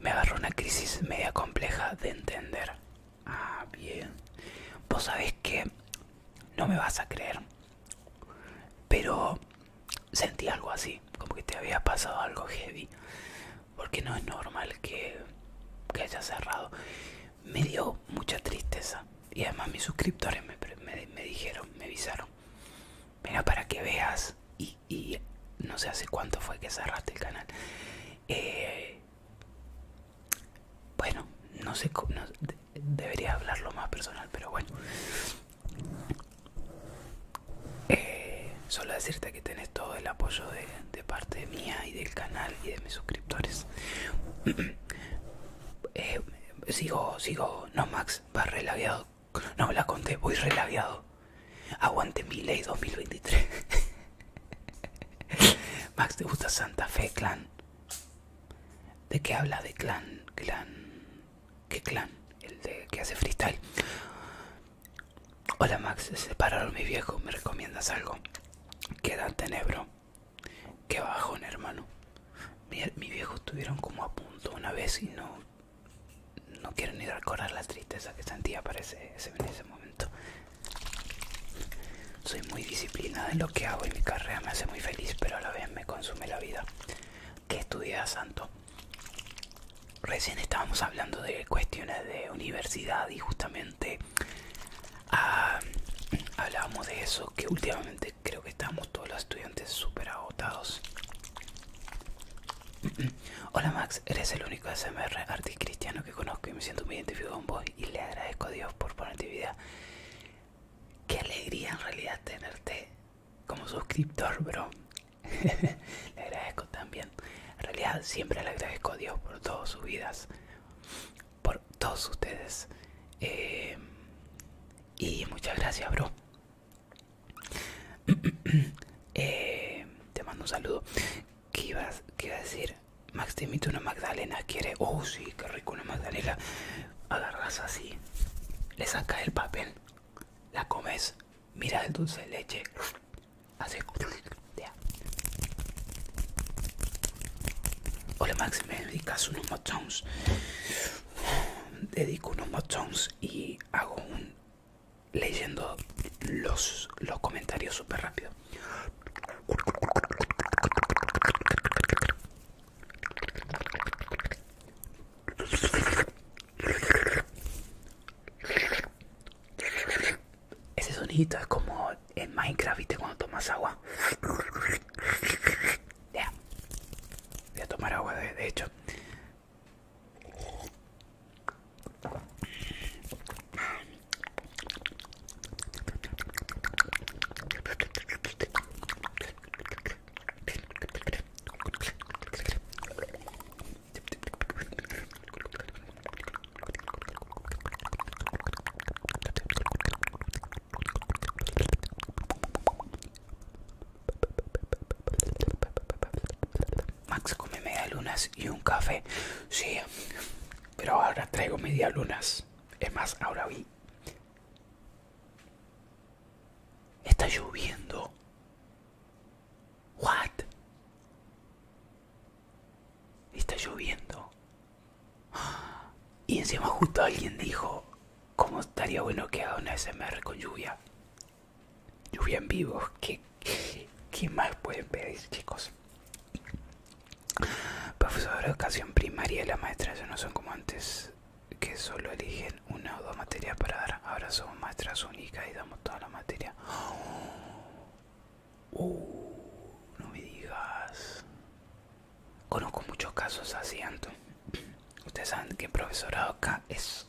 Me agarró una crisis media compleja de entender. Ah, bien. Vos sabés que no me vas a creer, pero sentí algo así, como que te había pasado algo heavy, porque no es normal que, que haya cerrado me dio mucha tristeza. Y además mis suscriptores me, dijeron, me avisaron, mira para que veas y, no sé hace cuánto fue que cerraste el canal. Eh, bueno, no sé, cómo debería hablarlo más personal, pero bueno. Eh, solo decirte que tenés todo el apoyo de, de parte mía y del canal y de mis suscriptores. Eh, sigo, sigo, no Max, va relaviado. No la conté, voy relaviado. Aguante mi ley 2023. Max, ¿te gusta Santa Fe Clan? ¿De qué habla? ¿De clan? ¿Clan? ¿Qué clan? El que hace freestyle. Hola Max, se separaron mi viejo ¿me recomiendas algo? Queda tenebro. Qué bajón, hermano. Mi, viejo estuvieron como a punto una vez y no. No quiero ni recordar la tristeza que sentía para ese, ese momento. Soy muy disciplinada en lo que hago y mi carrera me hace muy feliz, pero a la vez me consume la vida. ¿Qué estudias, Santo? Recién estábamos hablando de cuestiones de universidad y justamente Ah, hablábamos de eso que últimamente creo que estamos todos los estudiantes súper agotados Hola Max, eres el único SMR artist cristiano que conozco y me siento muy identificado con vos y le agradezco a Dios por ponerte vida. Qué alegría en realidad tenerte como suscriptor, bro. le agradezco también. En realidad siempre le agradezco a Dios por todas sus vidas por todos ustedes. Eh, y muchas gracias, bro. Eh, te mando un saludo. ¿Qué ibas qué iba a decir? Max, te una Magdalena. ¿Quiere? Oh, sí, qué rico una Magdalena. Agarras así, le sacas el papel, la comes, Mira el dulce de leche, hace Hola Max, me dedicas unos motones. Dedico unos motones y hago un leyendo los, los comentarios súper rápido. Ese sonidito es como en Minecraft, ¿viste? Cuando tomas agua. ya a tomar agua, de hecho. Max come media lunas y un café. Sí, pero ahora traigo media lunas. Es más, ahora vi. Está lloviendo. What? Está lloviendo. Y encima justo alguien dijo, ¿cómo estaría bueno que haga una SMR con lluvia? Lluvia en vivo, ¿qué, qué, más pueden pedir chicos? Profesora de educación primaria y la maestra ya no son como antes, que solo eligen una o dos materias para dar. Ahora somos maestras únicas y damos toda la materia. Uh, no me digas. Conozco muchos casos así, Anto. Ustedes saben que el profesorado acá es.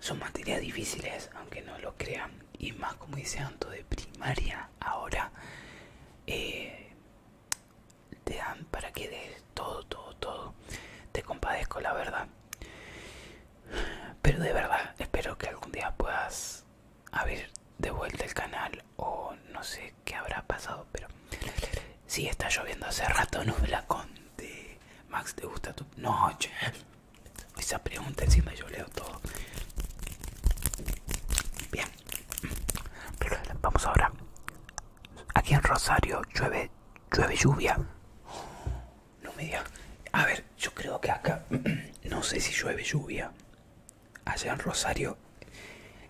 Son materias difíciles, aunque no lo crean. Y más, como dice Anto, de primaria, ahora eh, te dan para que des todo, todo, todo. Te compadezco, la verdad. Pero de verdad, espero que algún día puedas a ver, de vuelta el canal o no sé qué habrá pasado, pero sí está lloviendo hace rato, no me la conté. Max, ¿te gusta tu noche? Esa pregunta encima yo leo todo. Bien, vamos ahora. Aquí en Rosario llueve, llueve lluvia. No me diga. A ver, yo creo que acá no sé si llueve lluvia allá en Rosario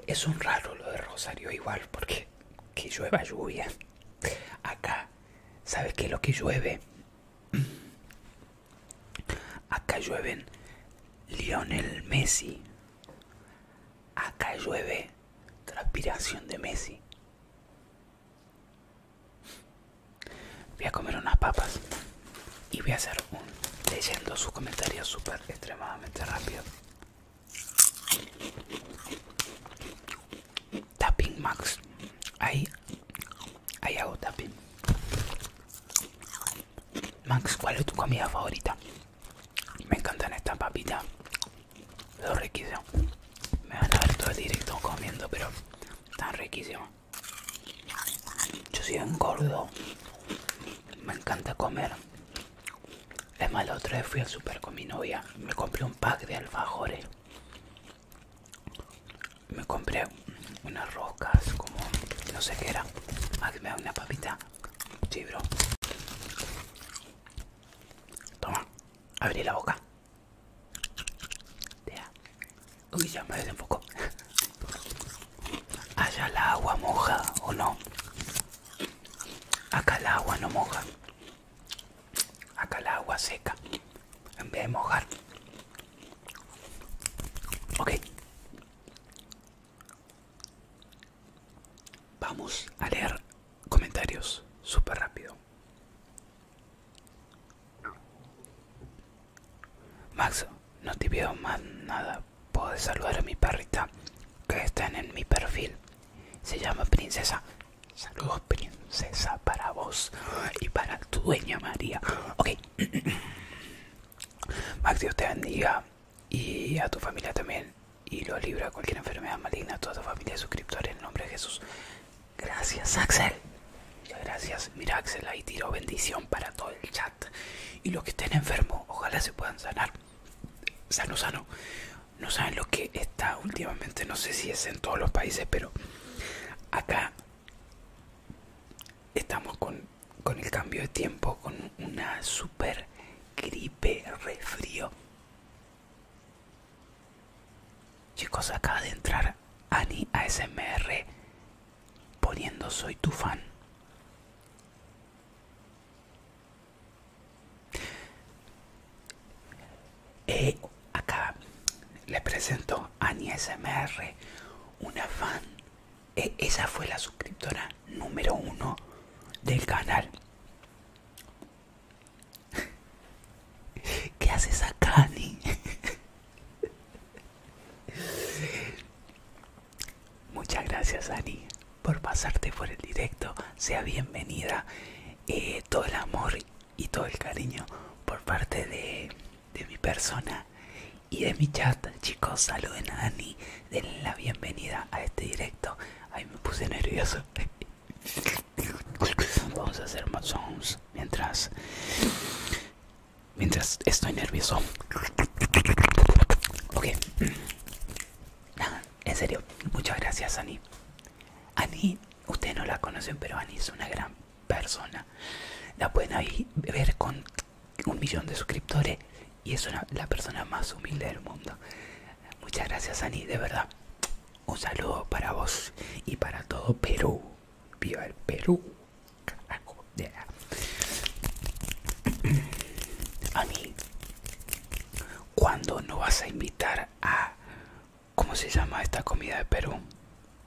es un raro lo de Rosario igual porque que llueva lluvia acá sabes que lo que llueve acá llueven Lionel Messi acá llueve transpiración de Messi voy a comer unas papas y voy a hacer un leyendo sus comentarios súper extremadamente rápido. Tapping Max. Ahí, ahí hago tapping. Max, ¿cuál es tu comida favorita? Me encantan estas papitas. lo riquísimo Me van a ver todo el directo comiendo, pero tan riquísimos. Yo soy un gordo, Me encanta comer. Es más, la otra vez fui al super con mi novia. Me compré un pack de alfajores. Me compré unas rocas, como no sé qué era. más ah, que me da una papita. chibro. Toma, abrí la boca. Uy, ya me desenfocó. Allá la agua moja o no. Acá la agua no moja. Acá la agua seca. En vez de mojar. Ok. Vamos a leer comentarios súper rápido. Max, no te pido más nada. Puedes saludar a mi perrita que está en mi perfil. Se llama Princesa. Saludos, Princesa, para vos y para tu dueña María. Ok. Max, Dios te bendiga y a tu familia también. Y lo libra cualquier enfermedad maligna a toda tu familia suscriptores en el nombre de Jesús. Gracias, Axel. gracias. Mira, Axel, ahí tiró bendición para todo el chat. Y los que estén enfermos, ojalá se puedan sanar. Sano, sano. No saben lo que está últimamente, no sé si es en todos los países, pero acá estamos con, con el cambio de tiempo, con una super gripe refrío. Chicos, acaba de entrar Ani ASMR poniendo soy tu fan. Eh, acá le presento a Ani SMR, una fan. E, esa fue la suscriptora número uno del canal. ¿Qué haces acá, Ani? Muchas gracias Ani por pasarte por el directo. Sea bienvenida. Eh, todo el amor y todo el cariño por parte de, de mi persona y de mi chat. Chicos, saluden a Ani. Denle la bienvenida a este directo. Ay, me puse nervioso. Vamos a hacer más sons mientras mientras estoy nervioso. Ok. En serio, muchas gracias, Ani. Ani, ustedes no la conocen, pero Ani es una gran persona. La pueden ver con un millón de suscriptores y es una, la persona más humilde del mundo. Muchas gracias, Ani, de verdad. Un saludo para vos y para todo Perú. Viva el Perú carajo a mí cuando no vas a invitar a cómo se llama esta comida de Perú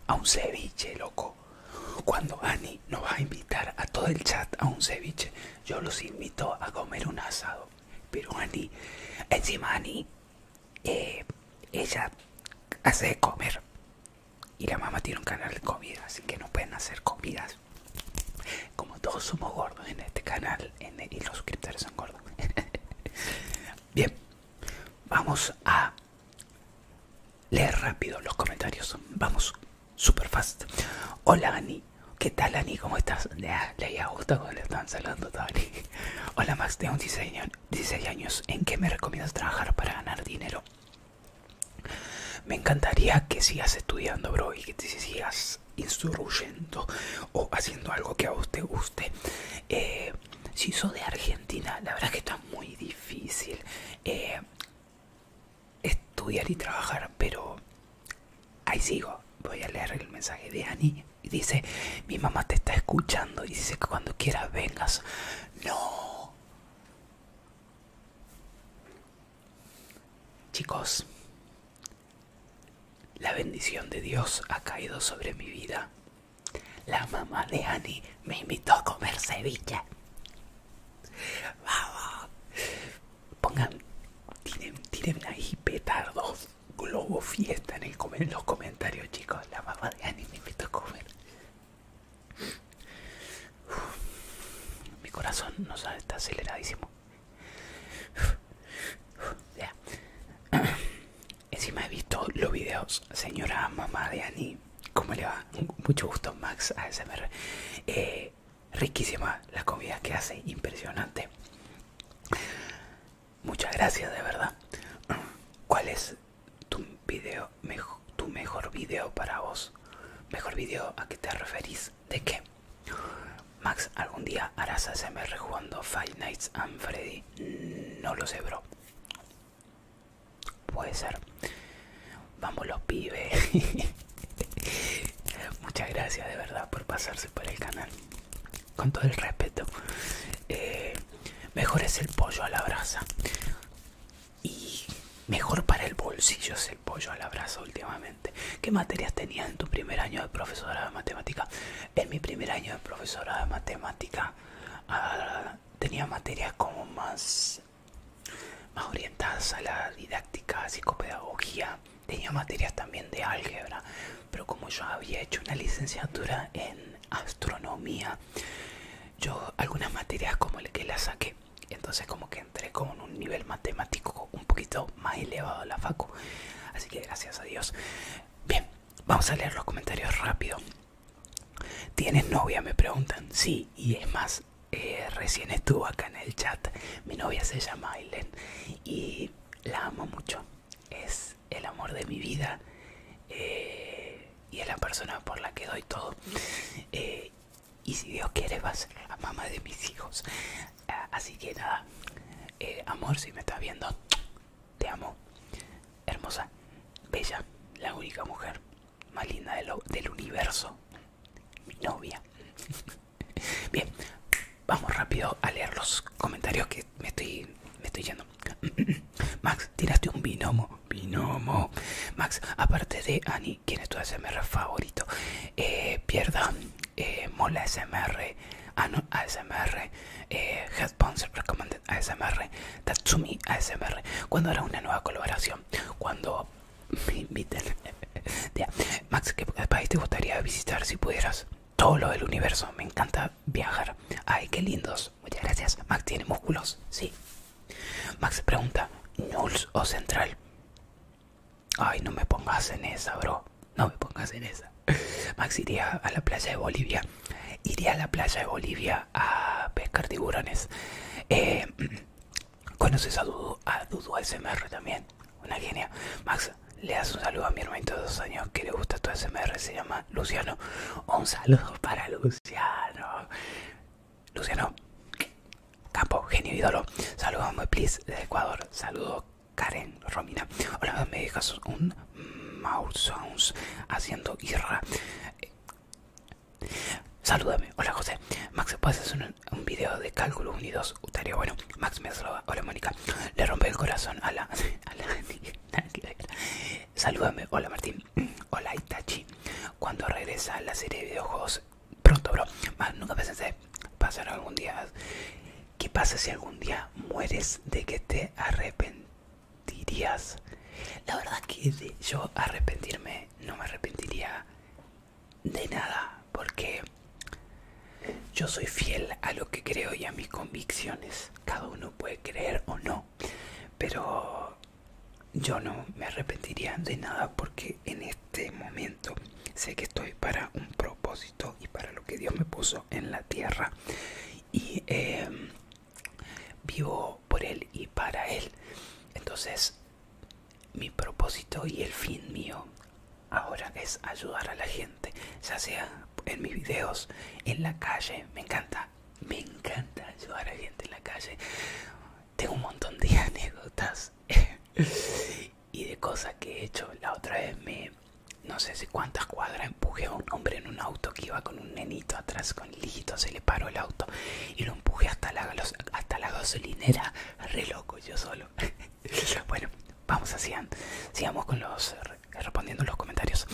a un ceviche loco cuando Ani nos va a invitar a todo el chat a un ceviche yo los invito a comer un asado pero Ani encima Ani eh, ella hace comer y la mamá tiene un canal de comida, así que no pueden hacer comidas. Como todos somos gordos en este canal y los suscriptores son gordos. Bien, vamos a leer rápido los comentarios. Vamos, super fast. Hola Ani, ¿qué tal Ani? ¿Cómo estás? Leía a gusta cuando le están saludando a Hola Max, tengo 16 años. ¿En qué me recomiendas trabajar para ganar dinero? Me encantaría que sigas estudiando, bro, y que te sigas instruyendo o haciendo algo que a vos te guste. Eh, si soy de Argentina, la verdad que está muy difícil eh, estudiar y trabajar, pero ahí sigo. Voy a leer el mensaje de Annie y dice: Mi mamá te está escuchando y dice que cuando quieras vengas. No. Chicos, la bendición de Dios ha caído sobre mi vida. La mamá de Annie me invitó a comer ceviche. Vamos. Pongan, Tienen ahí petardos, globo fiesta en los comentarios, chicos. La mamá de Annie me invitó a comer mi corazón no está aceleradísimo. Encima he visto los videos, señora mamá de Ani. ¿Cómo le va? Mucho gusto, Max ASMR. Eh, riquísima la comida que hace, impresionante. Muchas gracias, de verdad. ¿Cuál es tu video tu mejor video para vos. Mejor video, ¿a qué te referís? ¿De qué? Max, algún día harás ASMR jugando Five Nights and Freddy. No lo sé, bro. Puede ser. Vamos los pibes. Muchas gracias de verdad por pasarse por el canal. Con todo el respeto. Eh, mejor es el pollo a la brasa y mejor para el bolsillo es el pollo al abrazo últimamente. ¿Qué materias tenías en tu primer año de profesora de matemática? En mi primer año de profesora de matemática ah, tenía materias como más, más orientadas a la didáctica, psicopedagogía. Tenía materias también de álgebra, pero como yo había hecho una licenciatura en astronomía, yo algunas materias como el que la saqué entonces como que entré con un nivel matemático un poquito más elevado a la facu así que gracias a Dios bien vamos a leer los comentarios rápido ¿Tienes novia? Me preguntan. Sí, y es más, eh, recién estuvo acá en el chat. Mi novia se llama Aileen y la amo mucho. Es el amor de mi vida eh, y es la persona por la que doy todo. Eh, y si Dios quiere vas a ser la mamá de mis hijos. Ah, así que nada, eh, amor, si me estás viendo, te amo. Hermosa, bella, la única mujer más linda del universo. Mi novia. Bien, vamos rápido a leer los comentarios que me estoy, me estoy yendo. Max, tiraste un binomo. Binomo. Max, aparte de Ani quién es tu SMR favorito eh, pierda eh, mola SMR, ah ASMR eh, recommended ASMR Tatsumi ASMR ¿Cuándo hará una nueva colaboración cuando me inviten Max ¿qué país te gustaría visitar si pudieras? todo lo del universo me encanta viajar ay qué lindos muchas gracias Max tiene músculos sí Max pregunta ¿Nulls o Central Ay, no me pongas en esa, bro. No me pongas en esa. Max iría a la playa de Bolivia. Iría a la playa de Bolivia a pescar tiburones. Eh, ¿Conoces a Dudu? A Dudu SMR también. Una genia. Max, le das un saludo a mi hermanito de dos años que le gusta tu SMR. Se llama Luciano. Un saludo para Luciano. Luciano, Campo, genio ídolo. Saludos, muy please, de Ecuador. Saludos, Karen, Romina. Hola, me dejas un mouse sounds haciendo irra. Salúdame, hola José. Max, ¿puedes hacer un, video de cálculo unidos? Estaría bueno. Max me saluda. Hola Mónica. Le rompe el corazón a la... Salúdame, hola Martín. Hola Itachi. Cuando regresa la serie de videojuegos pronto, bro. Más nunca pensé pasar algún día. ¿Qué pasa si algún día mueres de que te arrepentirías? La verdad que yo arrepentirme no me arrepentiría de nada, porque yo soy fiel a lo que creo y a mis convicciones. Cada uno puede creer o no, pero yo no me arrepentiría de nada porque en este momento sé que estoy para un propósito y para lo que Dios me puso en la tierra y em, vivo por Él y para Él. Entonces mi propósito y el fin mío ahora es ayudar a la gente, ya sea en mis videos, en la calle, me encanta, me encanta ayudar a la gente en la calle. Tengo un montón de anécdotas y de cosas que he hecho. La otra vez me, no sé si cuántas cuadras, empujé a un hombre en un auto que iba con un nenito atrás, con hijito, se le paró el auto y lo empujé hasta la, hasta la gasolinera, re loco yo solo. bueno, vamos así, sigamos con los, respondiendo los comentarios.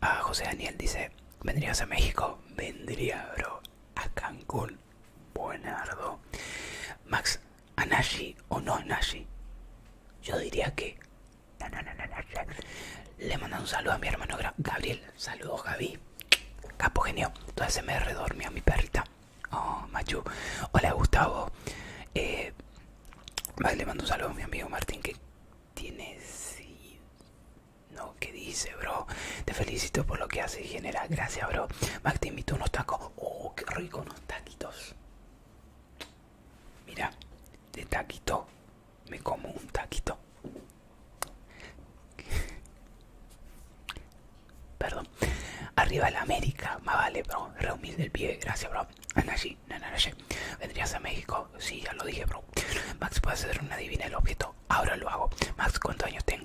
Ah, José Daniel dice, ¿vendrías a México? Vendría, bro, a Cancún. Buenardo. Max, ¿a o no a Yo diría que... Le mandan un saludo a mi hermano Gabriel. Saludos, Javi, Capo genio. Entonces se me redormió mi perrita. Oh, Machu. Hola, Gustavo. Eh, vale le mando un saludo a mi amigo Martín que tiene... No, que dice bro. Te felicito por lo que haces general, Gracias, bro. Max te invito unos tacos. Oh, qué rico unos taquitos. Mira, de taquito. Me como un taquito. Perdón. Arriba la América. Más vale, bro. Reunir del pie. Gracias, bro. Anashi, ¿Vendrías a México? Sí, ya lo dije, bro. Max, ¿puedes hacer una divina el objeto? Ahora lo hago. Max, ¿cuántos años tengo?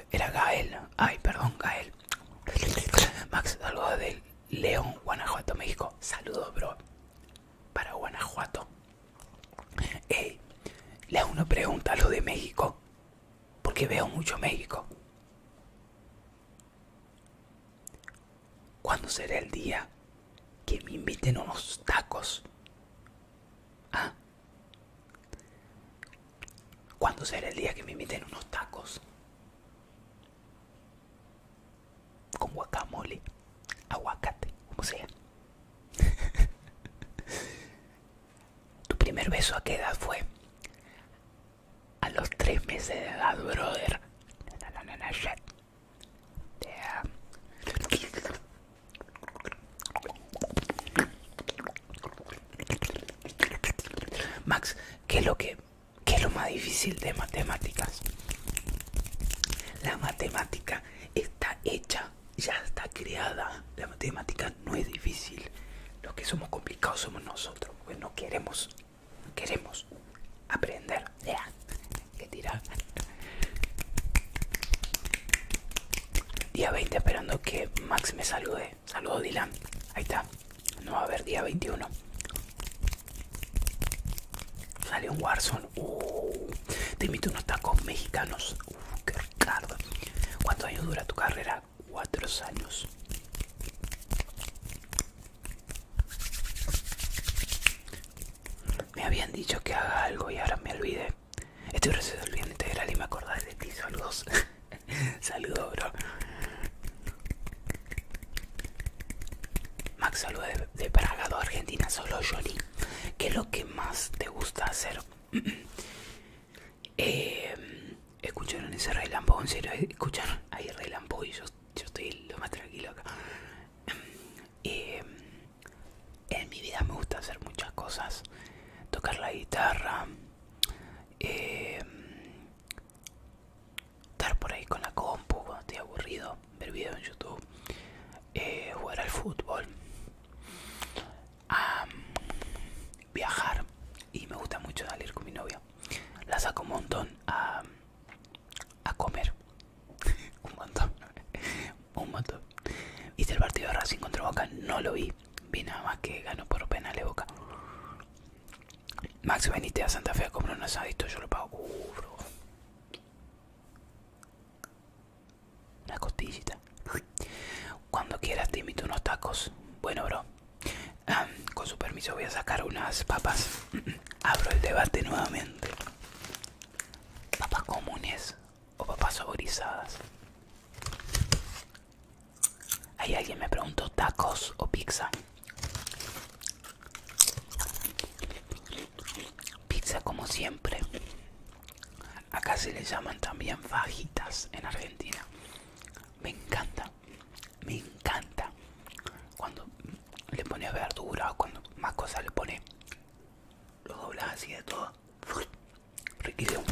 era Gael. Ay, perdón, Gael. Max, saludos de León, Guanajuato, México. Saludos, bro. Para Guanajuato. Ey, le uno una pregunta lo de México. Porque veo mucho México. ¿Cuándo será el día que me inviten unos tacos? ¿Ah? ¿Cuándo será el día que me inviten unos tacos? Con guacamole, aguacate, como sea. ¿Tu primer beso a qué edad fue? A los tres meses de edad, brother. Max, ¿qué es lo que lo más difícil de matemáticas? La matemática está hecha, ya está creada. La matemática no es difícil. Los que somos complicados somos nosotros, porque no queremos, queremos aprender. Ya, ¿Qué tira Día 20 esperando que Max me salude. Saludos, Dylan. Ahí está. No va a haber día 21. Sale un Warzone. Uh, te invito unos tacos mexicanos. Uh, qué ¿Cuántos años dura tu carrera? Cuatro años. Me habían dicho que haga algo y ahora me olvidé. Estoy recién de integral y me acordé de ti. Saludos. Saludos, bro. Max, saludos de, Pragado, Argentina, solo Johnny. ¿Qué es lo que más te gusta hacer? Eh, ¿Escucharon ese Lambo ¿En serio? ¿Escucharon? Hay y yo, estoy lo más tranquilo acá. Eh, en mi vida me gusta hacer muchas cosas. Tocar la guitarra, eh, estar por ahí con la compu cuando estoy aburrido, ver videos en YouTube, eh, jugar al fútbol, viajar y me gusta mucho salir con mi novia. La saco un montón a, a comer. un montón. un montón. Viste el partido de Racing contra Boca, no lo vi. Vi nada más que ganó por pena le Boca. Max, veniste a Santa Fe a comprar un asadito, yo lo pago. Uh, bro. Una costillita. Cuando quieras te invito unos tacos. Bueno, bro. Ah, con su permiso voy a sacar unas papas. Abro el debate nuevamente. ¿Papas comunes o papas saborizadas? Ahí alguien me preguntó tacos o pizza. Pizza como siempre. Acá se le llaman también fajitas en Argentina. Me encanta, me encanta. Cuando le pones verdura o cuando más cosas le pone, lo doblas así de todo riquísimo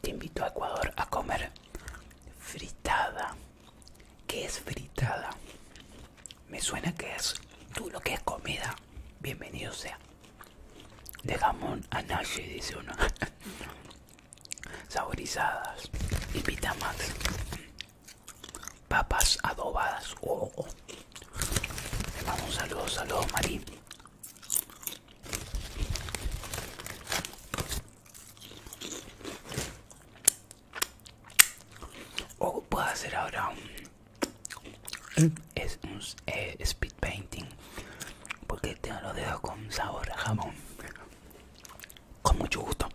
te invito a Ecuador a comer fritada ¿Qué es fritada? Me suena que es tú lo que es comida. Bienvenido sea. De jamón a y dice uno. Saborizadas y pita papas adobadas. Oh, oh, oh. Le mando un saludo, saludos Marín. O puedo hacer ahora un, eh, speed painting porque tengo los dedos con sabor a jamón. Con mucho gusto.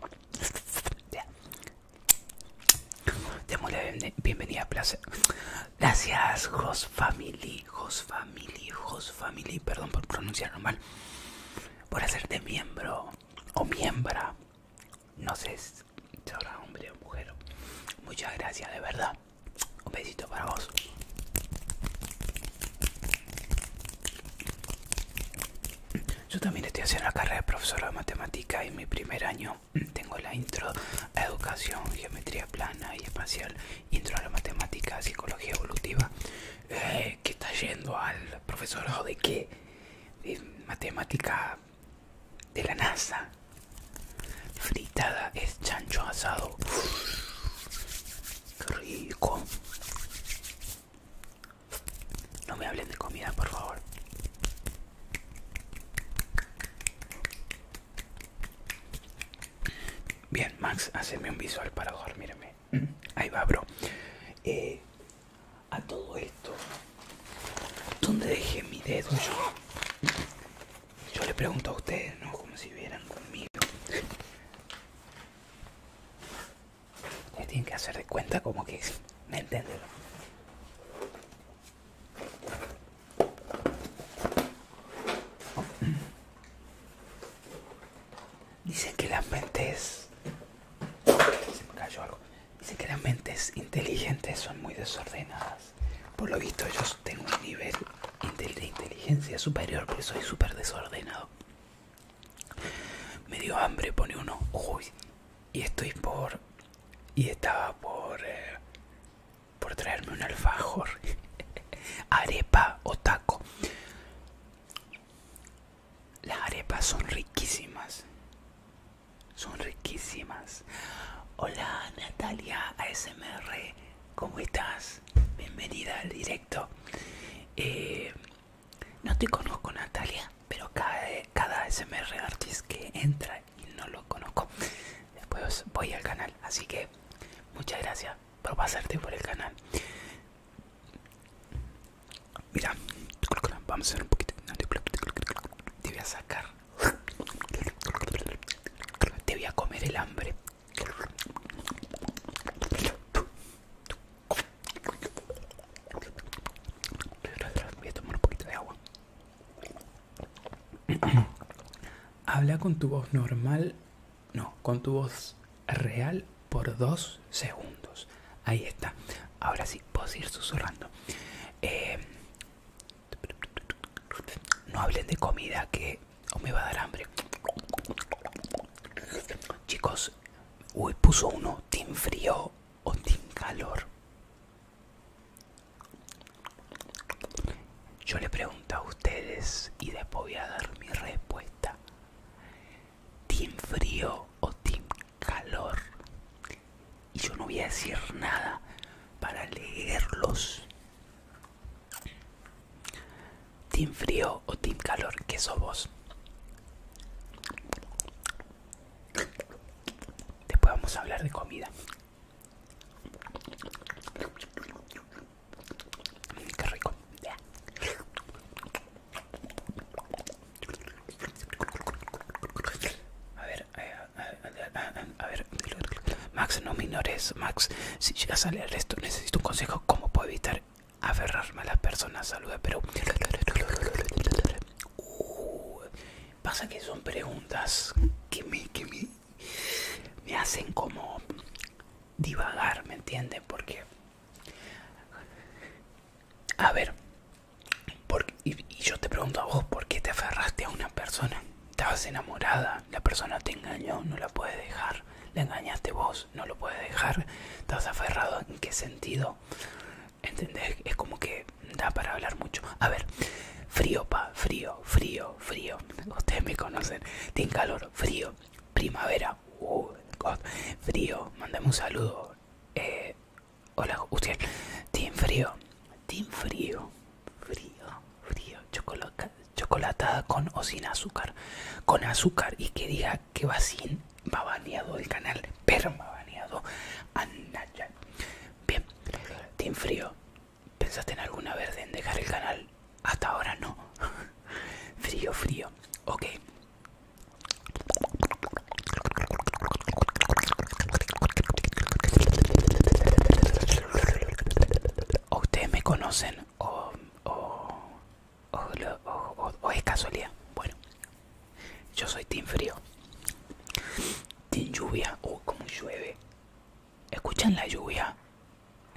Démosle bienvenida placer Gracias, jos Family, jos Family, jos Family. Perdón por pronunciarlo mal. Por hacerte miembro o miembra. No sé si hombre o mujer. Muchas gracias, de verdad. Un besito para vos. Yo también estoy haciendo la carrera de profesora de matemática y en mi primer año mm, tengo la intro a educación, geometría plana y espacial, intro a la matemática, psicología evolutiva. Eh, que está yendo al profesor de qué? matemática de la NASA. Fritada es chancho asado. rico! No me hablen de comida, por favor. Bien, Max, haceme un visual para dormirme. Ahí va, bro. Eh, a todo esto, ¿dónde dejé mi dedo yo? le pregunto a ustedes, ¿no? Como si vieran conmigo. Ya tienen que hacer de cuenta como que me entienden dicen que las mentes se me algo dicen que las mentes inteligentes son muy desordenadas por lo visto yo tengo un nivel de inteligencia superior pero soy súper desordenado me dio hambre pone uno uy y estoy por y estaba por eh, por traerme un alfajor arepa o taco las arepas son riquísimas son riquísimas hola Natalia ASMR ¿cómo estás? bienvenida al directo eh, no te conozco, Natalia, pero cada, cada SMR artist que entra y no lo conozco, después pues voy al canal. Así que muchas gracias por pasarte por el canal. Mira, vamos a hacer un poquito. Te voy a sacar. Te voy a comer el hambre. Voy a tomar un poquito de agua. Habla con tu voz normal, no, con tu voz real por dos segundos. Ahí está. Ahora sí, puedes ir susurrando. Eh, no hablen de comida que me va a dar hambre. Chicos, uy, puso uno, te Frío o team calor. Yo le pregunto a ustedes y después voy a dar mi respuesta. Team frío o team calor. Y yo no voy a decir nada para leerlos. Team frío o team calor, que sos vos. Después vamos a hablar de comida. Qué rico. A ver, eh, a ver, Max, no minores. Max, si llegas a leer resto, necesito un consejo. ¿Cómo puedo evitar aferrarme a las personas? Saluda, pero pasa que son preguntas que me, que me, hacen como divagar, ¿me entienden? Porque, a ver, porque, y, yo te pregunto a vos, ¿por qué te aferraste a una persona? Estabas enamorada, la persona te engañó, no la puedes dejar, la engañaste vos, no lo puedes dejar, estás aferrado en qué sentido ¿Entendés? Es como que da para hablar mucho. A ver, frío, pa, frío, frío, frío. Ustedes me conocen. Tiene calor, frío, primavera. Uh, frío, mandemos un saludo. Eh, hola, usted. tiene frío, tiene frío, frío, frío. chocolatada con o sin azúcar. Con azúcar y que diga que va sin ha baneado el canal, pero me ha baneado a Nacha. Bien, Team Frío, ¿pensaste en alguna vez en dejar el canal? Hasta ahora no. frío, frío. Ok. O ustedes me conocen o es casualidad. Bueno, yo soy team frío. Team lluvia. Oh, como llueve. Escuchan la lluvia.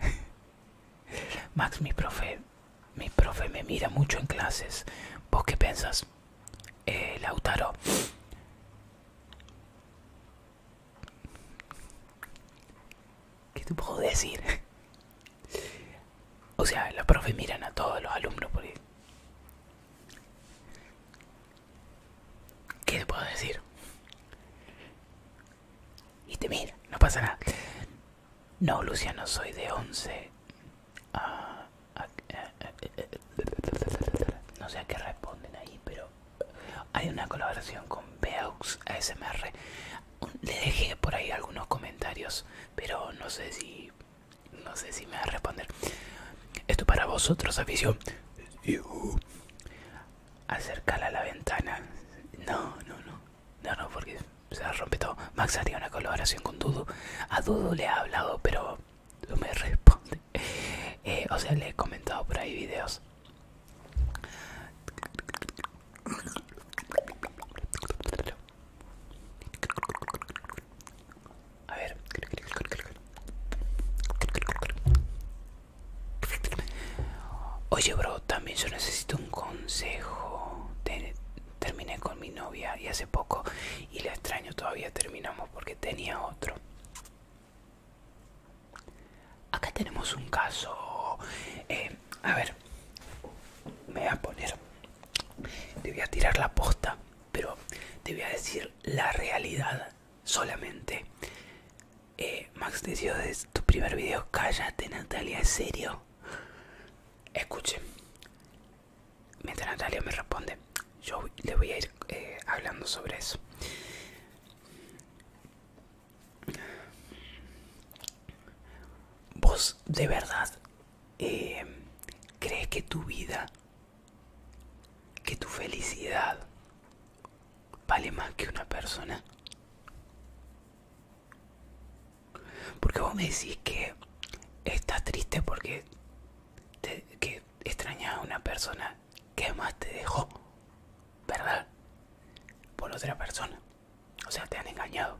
Max, mi profe, mi profe me mira mucho en clases. ¿Vos qué pensas? Eh, Lautaro. ¿Qué te puedo decir? O sea, la profe miran a todos los alumnos por porque ¿Qué te puedo decir? Y te mira, no pasa nada. No, no soy de 11. Ah, ah, ah, no sé a qué responden ahí, pero hay una colaboración con Beaux ASMR. Le dejé por ahí algunos comentarios, pero no sé si no sé si me va a responder. Esto para vosotros, afición. Acercala a la ventana. No, no, no. No, no, porque se rompe todo. Max haría una colaboración con Dudu. A Dudu le ha hablado, pero no me responde. Eh, o sea, le he comentado por ahí videos. A ver. Oye, bro, también yo necesito un consejo. terminé con mi novia y hace poco y la extraño todavía terminamos porque tenía otro. Acá tenemos un caso. Eh, a ver, me voy a poner. Le voy a tirar la posta pero te voy a decir la realidad solamente. Eh, Max decidió desde tu primer video. Cállate, Natalia, ¿es serio? Escuche Mientras Natalia me responde, yo le voy a ir eh, hablando sobre eso. ¿Vos de verdad eh, crees que tu vida que tu felicidad vale más que una persona? Porque vos me decís que estás triste porque extrañas a una persona que más te dejó, ¿verdad? Por otra persona. O sea, te han engañado.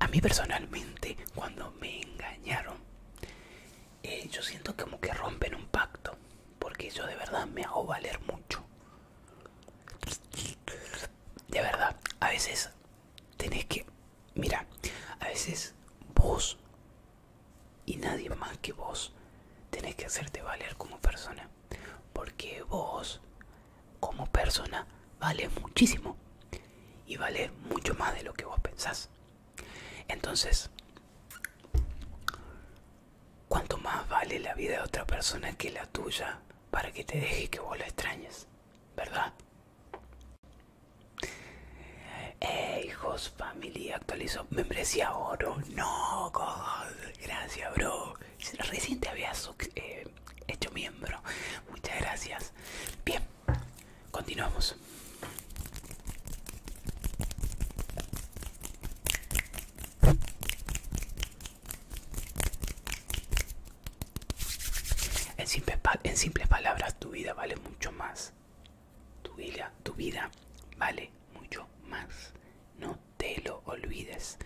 A mí personalmente, cuando me engañaron, eh, yo siento como que rompen un pacto, porque yo de verdad me hago valer mucho. De verdad, a veces tenés que, mira, a veces vos y nadie más que vos tenés que hacerte valer como persona, porque vos como persona vale muchísimo y vale mucho más de lo que vos pensás. Entonces, ¿cuánto más vale la vida de otra persona que la tuya para que te deje que vos la extrañes? ¿Verdad? Eh, hijos, familia, actualizo membresía oro. No, God, gracias, bro. Recién te habías eh, hecho miembro. Muchas gracias. Bien, Continuamos. En, simple, en simples palabras, tu vida vale mucho más. Tu vida, tu vida vale mucho más. No te lo olvides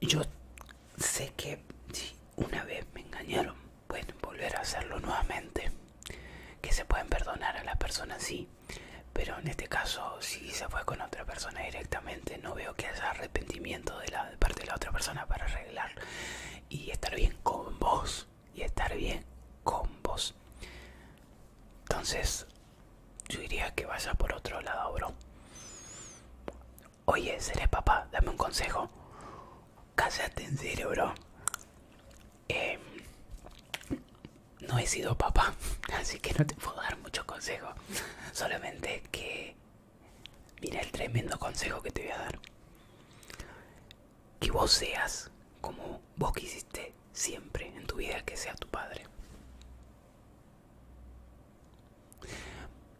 yo sé que si una vez me engañaron, pueden volver a hacerlo nuevamente. Que se pueden perdonar a las personas, sí. Pero en este caso, si se fue con otra persona directamente, no veo que haya arrepentimiento de la parte de la otra persona para arreglar y estar bien con vos. Y estar bien con vos. Entonces, yo diría que vaya por otro lado, bro. Oye, seré papá, dame un consejo. Cállate en cerebro. Em, no he sido papá, así que no te puedo dar mucho consejo. Solamente que... Mira el tremendo consejo que te voy a dar. Que vos seas como vos quisiste siempre en tu vida que sea tu padre.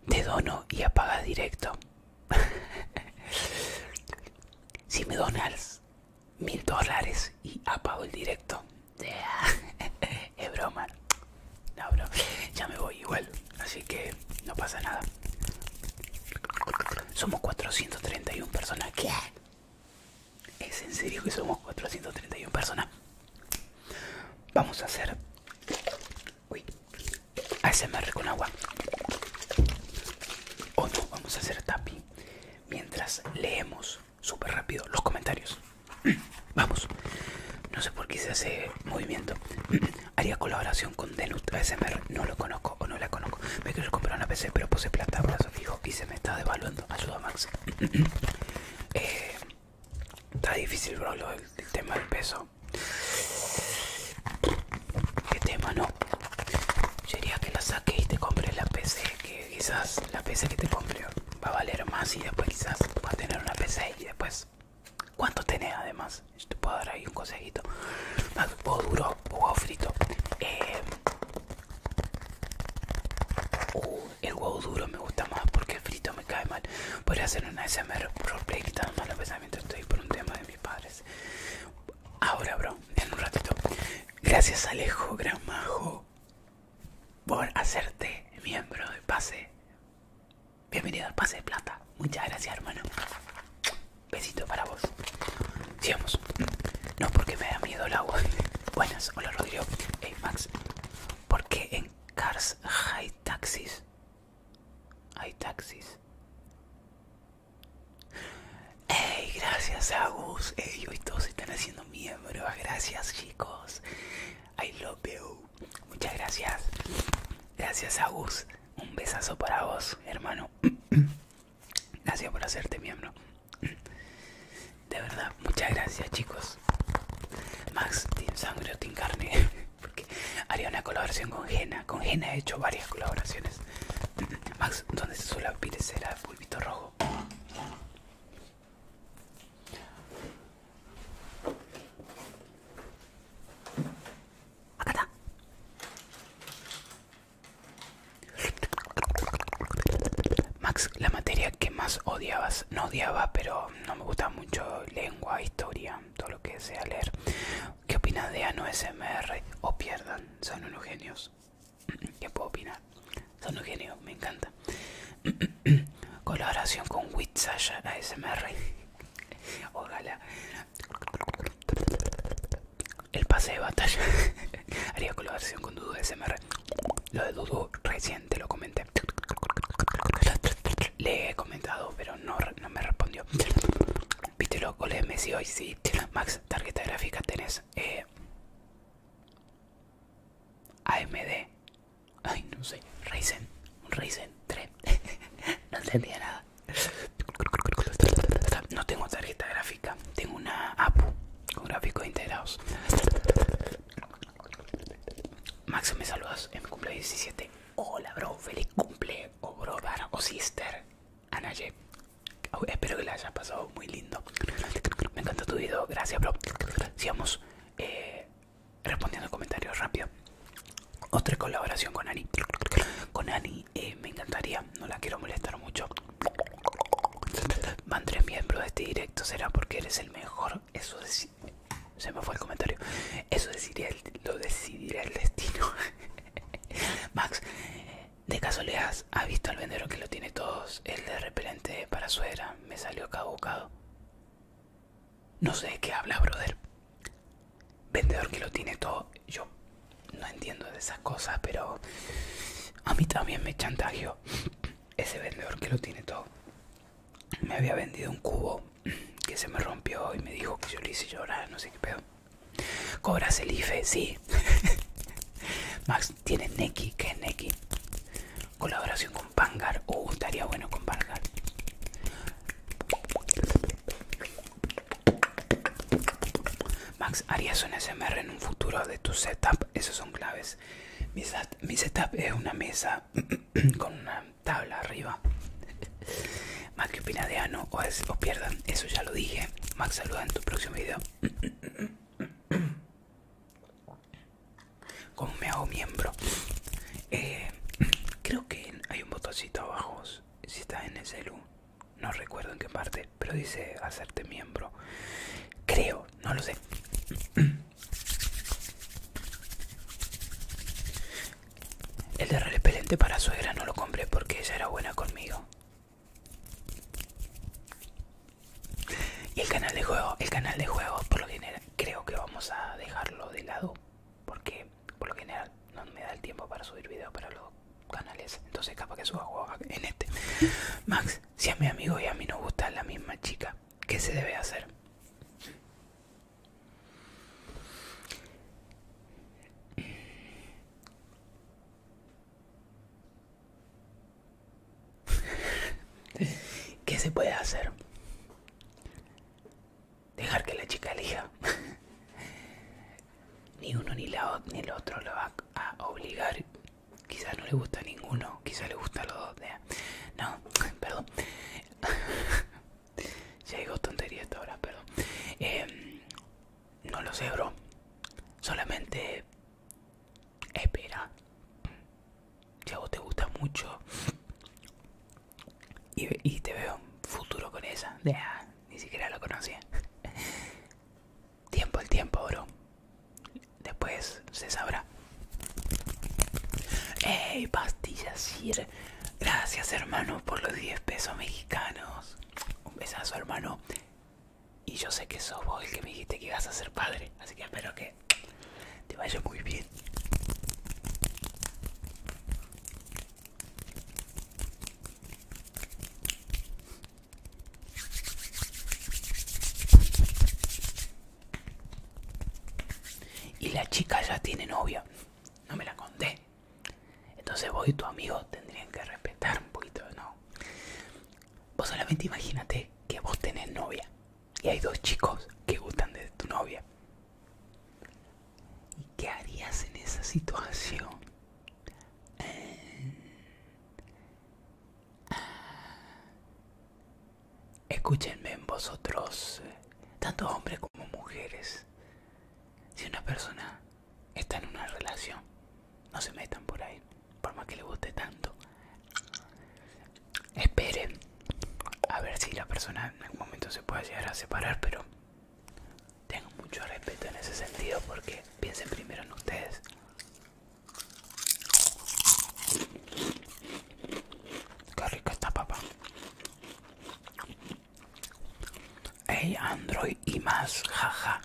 Te dono y apaga directo. si me donas mil dólares y apago el directo. es broma. Ya me voy igual. Así que no pasa nada. Somos 431 personas. ¿Qué? ¿Es en serio que somos 431 personas? Vamos a hacer Uy, ASMR con agua. O no, vamos a hacer tapi mientras leemos súper rápido los comentarios. Vamos, no sé por qué se hace movimiento. Haría colaboración con Denut ASMR, no lo conozco o no la conozco. Me quiero comprar una PC, pero puse plata, brazo fijo y se me está devaluando. Ayuda, Max. Eh, está difícil, bro, el tema del peso. ¿Qué tema no? Yo que la saques y te compres la PC, que quizás la PC que te compre va a valer más y después quizás vas a tener una PC y después... ¿Cuánto tenés además? Yo te puedo dar ahí un consejito. Huevo ah, duro o huevo frito. Eh, uh, el huevo duro me gusta más porque el frito me cae mal. Podría hacer una SMR roleplay quitando más la estoy por un tema de mis padres. Ahora, bro, en un ratito. Gracias, Alejo Gran Majo por hacerte miembro de Pase. Bienvenido al Pase de Plata. Muchas gracias, hermano. Besito para vos. Sigamos. No porque me da miedo el agua. Buenas, hola Rodrigo. Hey Max, Porque en Cars High Taxis hay taxis. ¡Ey! Gracias, Agus. ¡Ey! y todos se están haciendo miembros. Gracias, chicos. I love you. Muchas gracias. Gracias, Agus. Un besazo para vos, hermano. Gracias por hacerte miembro. De verdad, muchas gracias, chicos. Max, sin Sangre o Carne. Porque haría una colaboración con Jena. Con Jena he hecho varias colaboraciones. Max, ¿dónde se suele aparecer el pulpito rojo? Acá está. Max, la materia que más odiabas, no odiaba, pero no me gustaba mucho lengua, historia, todo lo que sea leer. ¿Qué opinas de Ano SMR? O pierdan, son unos genios. ¿Qué puedo opinar? Son unos genios, me encanta. Colaboración con Witzasha ASMR. Ojalá. El pase de batalla. Haría colaboración con Dudu SMR. Lo de Dudu reciente lo comenté. Le he comentado, pero no no me respondió. Viste loco le de hoy, sí. Max, tarjeta gráfica tenés. Eh, AMD. Ay, no sé. Ryzen. Un Ryzen 3. no entendía nada. No tengo tarjeta gráfica. Tengo una APU con gráficos integrados. Max, me saludas en mi cumpleaños 17. Hola, bro. Feliz cumple, o brother, o sister. Anaje, Espero que la haya pasado muy lindo. Me encanta tu video. Gracias, bro. Sigamos eh, respondiendo comentarios rápido. Otra colaboración con Ani. Con Ani eh, me encantaría. No la quiero molestar mucho. Mandré miembro de este directo. Será porque eres el mejor. Eso es se me fue el comentario. Eso el, lo decidirá el destino. Max, de casualidad, ¿ha visto al vendedor que lo tiene todo? El de repelente para suera. Me salió cabocado No sé de qué habla, brother. Vendedor que lo tiene todo. Yo no entiendo de esas cosas, pero a mí también me chantajeo ese vendedor que lo tiene todo. Me había vendido un cubo que se me rompió y me dijo que yo le hice llorar, no sé qué pedo. ¿Cobras el IFE? Sí. Max, tiene Neki? ¿Qué es Neki? Colaboración con Pangar. Uh, estaría bueno con Pangar. Max, ¿harías un SMR en un futuro de tu setup? Esos son claves. Mi, mi setup es una mesa con una tabla arriba. Max, que opina de Ano? O, pierdan, eso ya lo dije. Max, saluda en tu próximo video. ¿Cómo me hago miembro? Eh, creo que hay un botoncito abajo. Si está en el celu, no recuerdo en qué parte, pero dice hacerte miembro. Creo, no lo sé. El de repelente para suegra no lo compré porque ella era buena conmigo. Y el canal de juego, el canal de juego, por lo general creo que vamos a dejarlo de lado porque por lo general no me da el tiempo para subir videos para los canales, entonces capaz que suba juego en este. Max, si a mi amigo y a mí nos gusta la misma chica, ¿qué se debe hacer? ¿Qué se puede hacer? Dejar que la chica elija. ni uno ni, la, ni el otro lo va a obligar. Quizás no le gusta a ninguno, quizás le gusta los dos. No, perdón. Ya digo tontería ahora, perdón. Em, no lo sé, bro. Solamente espera. Si a vos te gusta mucho y, te veo futuro con esa. ni siquiera lo conocía. Tiempo el tiempo, bro. Después se sabrá. ¡Ey! Pastillas, sirve gracias hermano por los 10 pesos mexicanos. Un besazo hermano. Y yo sé que sos vos el que me dijiste que ibas a ser padre, así que espero que te vaya muy bien. Y la chica ya tiene novia. No me la conté. Entonces vos y tu amigo tendrían que respetar un poquito, ¿no? Vos solamente imagínate que vos tenés novia y hay dos chicos que gustan de tu novia. ¿Y qué harías en esa situación? Eh, ah, escúchenme en vosotros, eh, tanto hombres como mujeres. Si una persona está en una relación, no se metan por ahí, por más que le guste tanto. Esperen a ver si la persona en algún momento se puede llegar a separar, pero tengo mucho respeto en ese sentido porque piensen primero en ustedes. Qué rico está papá. Ey, Android y más, jaja.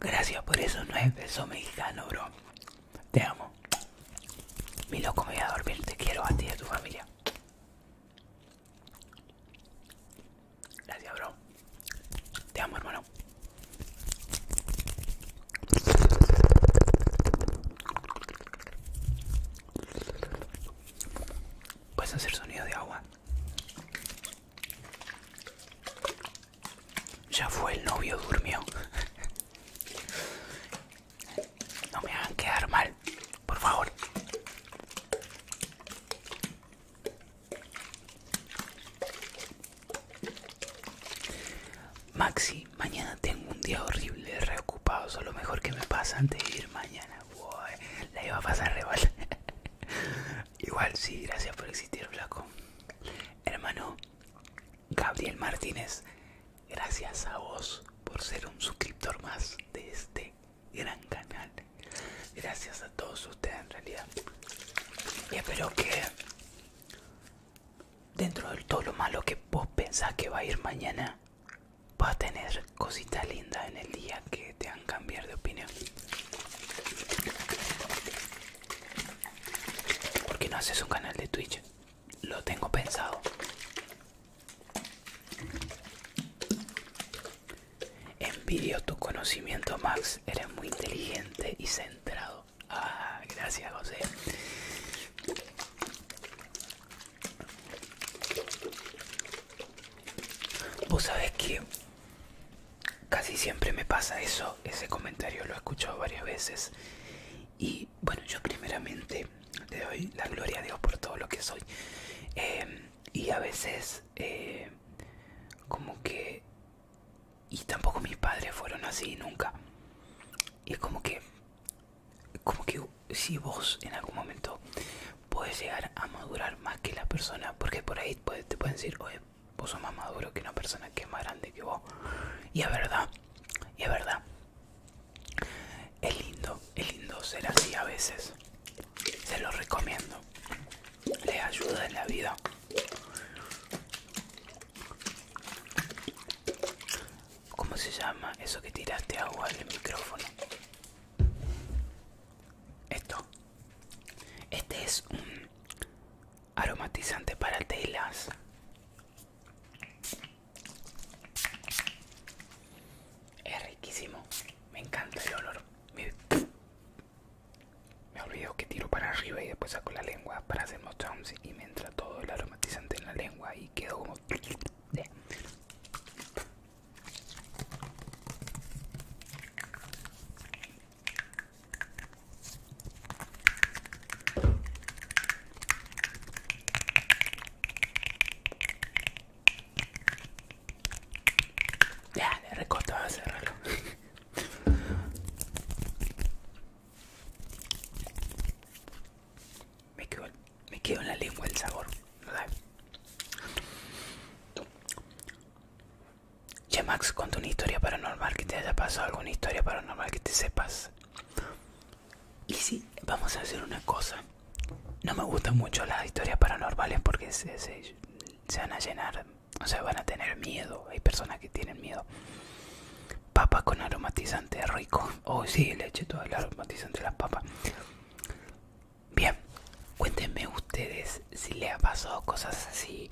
Gracias por eso, no es beso mexicano, bro. Te amo. Mi loco, me voy a dormir. Te quiero a ti y a tu familia. Gracias, bro. Te amo, hermano. Puedes hacer sonido de agua. Ya fue, el novio durmió. No me hagan quedar mal, por favor. Maxi, mañana tengo un día horrible, reocupado, Solo lo mejor que me pasa antes de ir mañana. La iba a pasar igual Igual, sí, gracias por existir, Flaco. Hermano Gabriel Martínez, gracias a vos por ser un suscriptor más de este gran canal. Gracias a todos ustedes, en realidad. Y espero que dentro de todo lo malo que vos pensás que va a ir mañana, Va a tener cositas lindas en el día que te han cambiar de opinión. ¿Por qué no haces un canal de Twitch? Lo tengo pensado. Envidio tu conocimiento, Max. Eres muy inteligente y centrado. Ah, gracias, José. Vos sabés que casi siempre me pasa eso, ese comentario lo he escuchado varias veces. Y bueno, yo primeramente le doy la gloria a Dios por todo lo que soy. Em, y a veces, eh, como que... Y tampoco mis padres fueron así nunca. Y es como que... Como que si vos en algún momento puedes llegar a madurar más que la persona, porque por ahí te pueden decir, oye, vos sos más maduro que una persona que es más grande que vos. Y es verdad, y es verdad. Es lindo, es lindo ser así a veces. Se lo recomiendo. Les ayuda en la vida. ¿Cómo se llama eso que tiraste agua al micrófono? Esto. Este es un aromatizante para telas. Es riquísimo. Me encanta el olor. Me, olvido que tiro para arriba y después saco la lengua para hacer mostrums y me entra todo el aromatizante en la lengua y quedo como... Ya, le a cerrarlo. me, quedó, me quedó en la lengua el sabor, Che Max, una historia paranormal que te haya pasado, alguna historia paranormal que te sepas. Y sí, vamos a hacer una cosa. No me gustan mucho las historias paranormales porque se, van a llenar, o sea, van a tener miedo. Hay personas que tienen miedo. Papas con aromatizante rico. Oh, sí, le eché todo el aromatizante a las papas. Bien, cuéntenme ustedes si le ha pasado cosas así,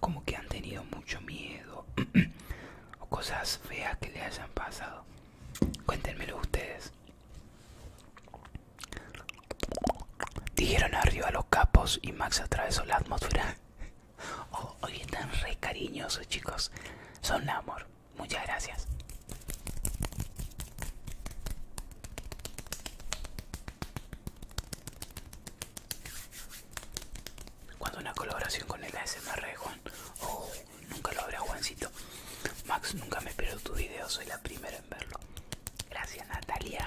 como que han tenido mucho miedo o cosas feas que le hayan pasado. Cuéntenmelo ustedes. Dijeron arriba los capos y Max atravesó la atmósfera. Oh, hoy están re cariñosos, chicos. Son amor. Muchas gracias. Cuando una colaboración con el ASMR Juan. Oh, nunca lo habrá Juancito. Max, nunca me espero tu video, soy la primera en verlo. Gracias Natalia.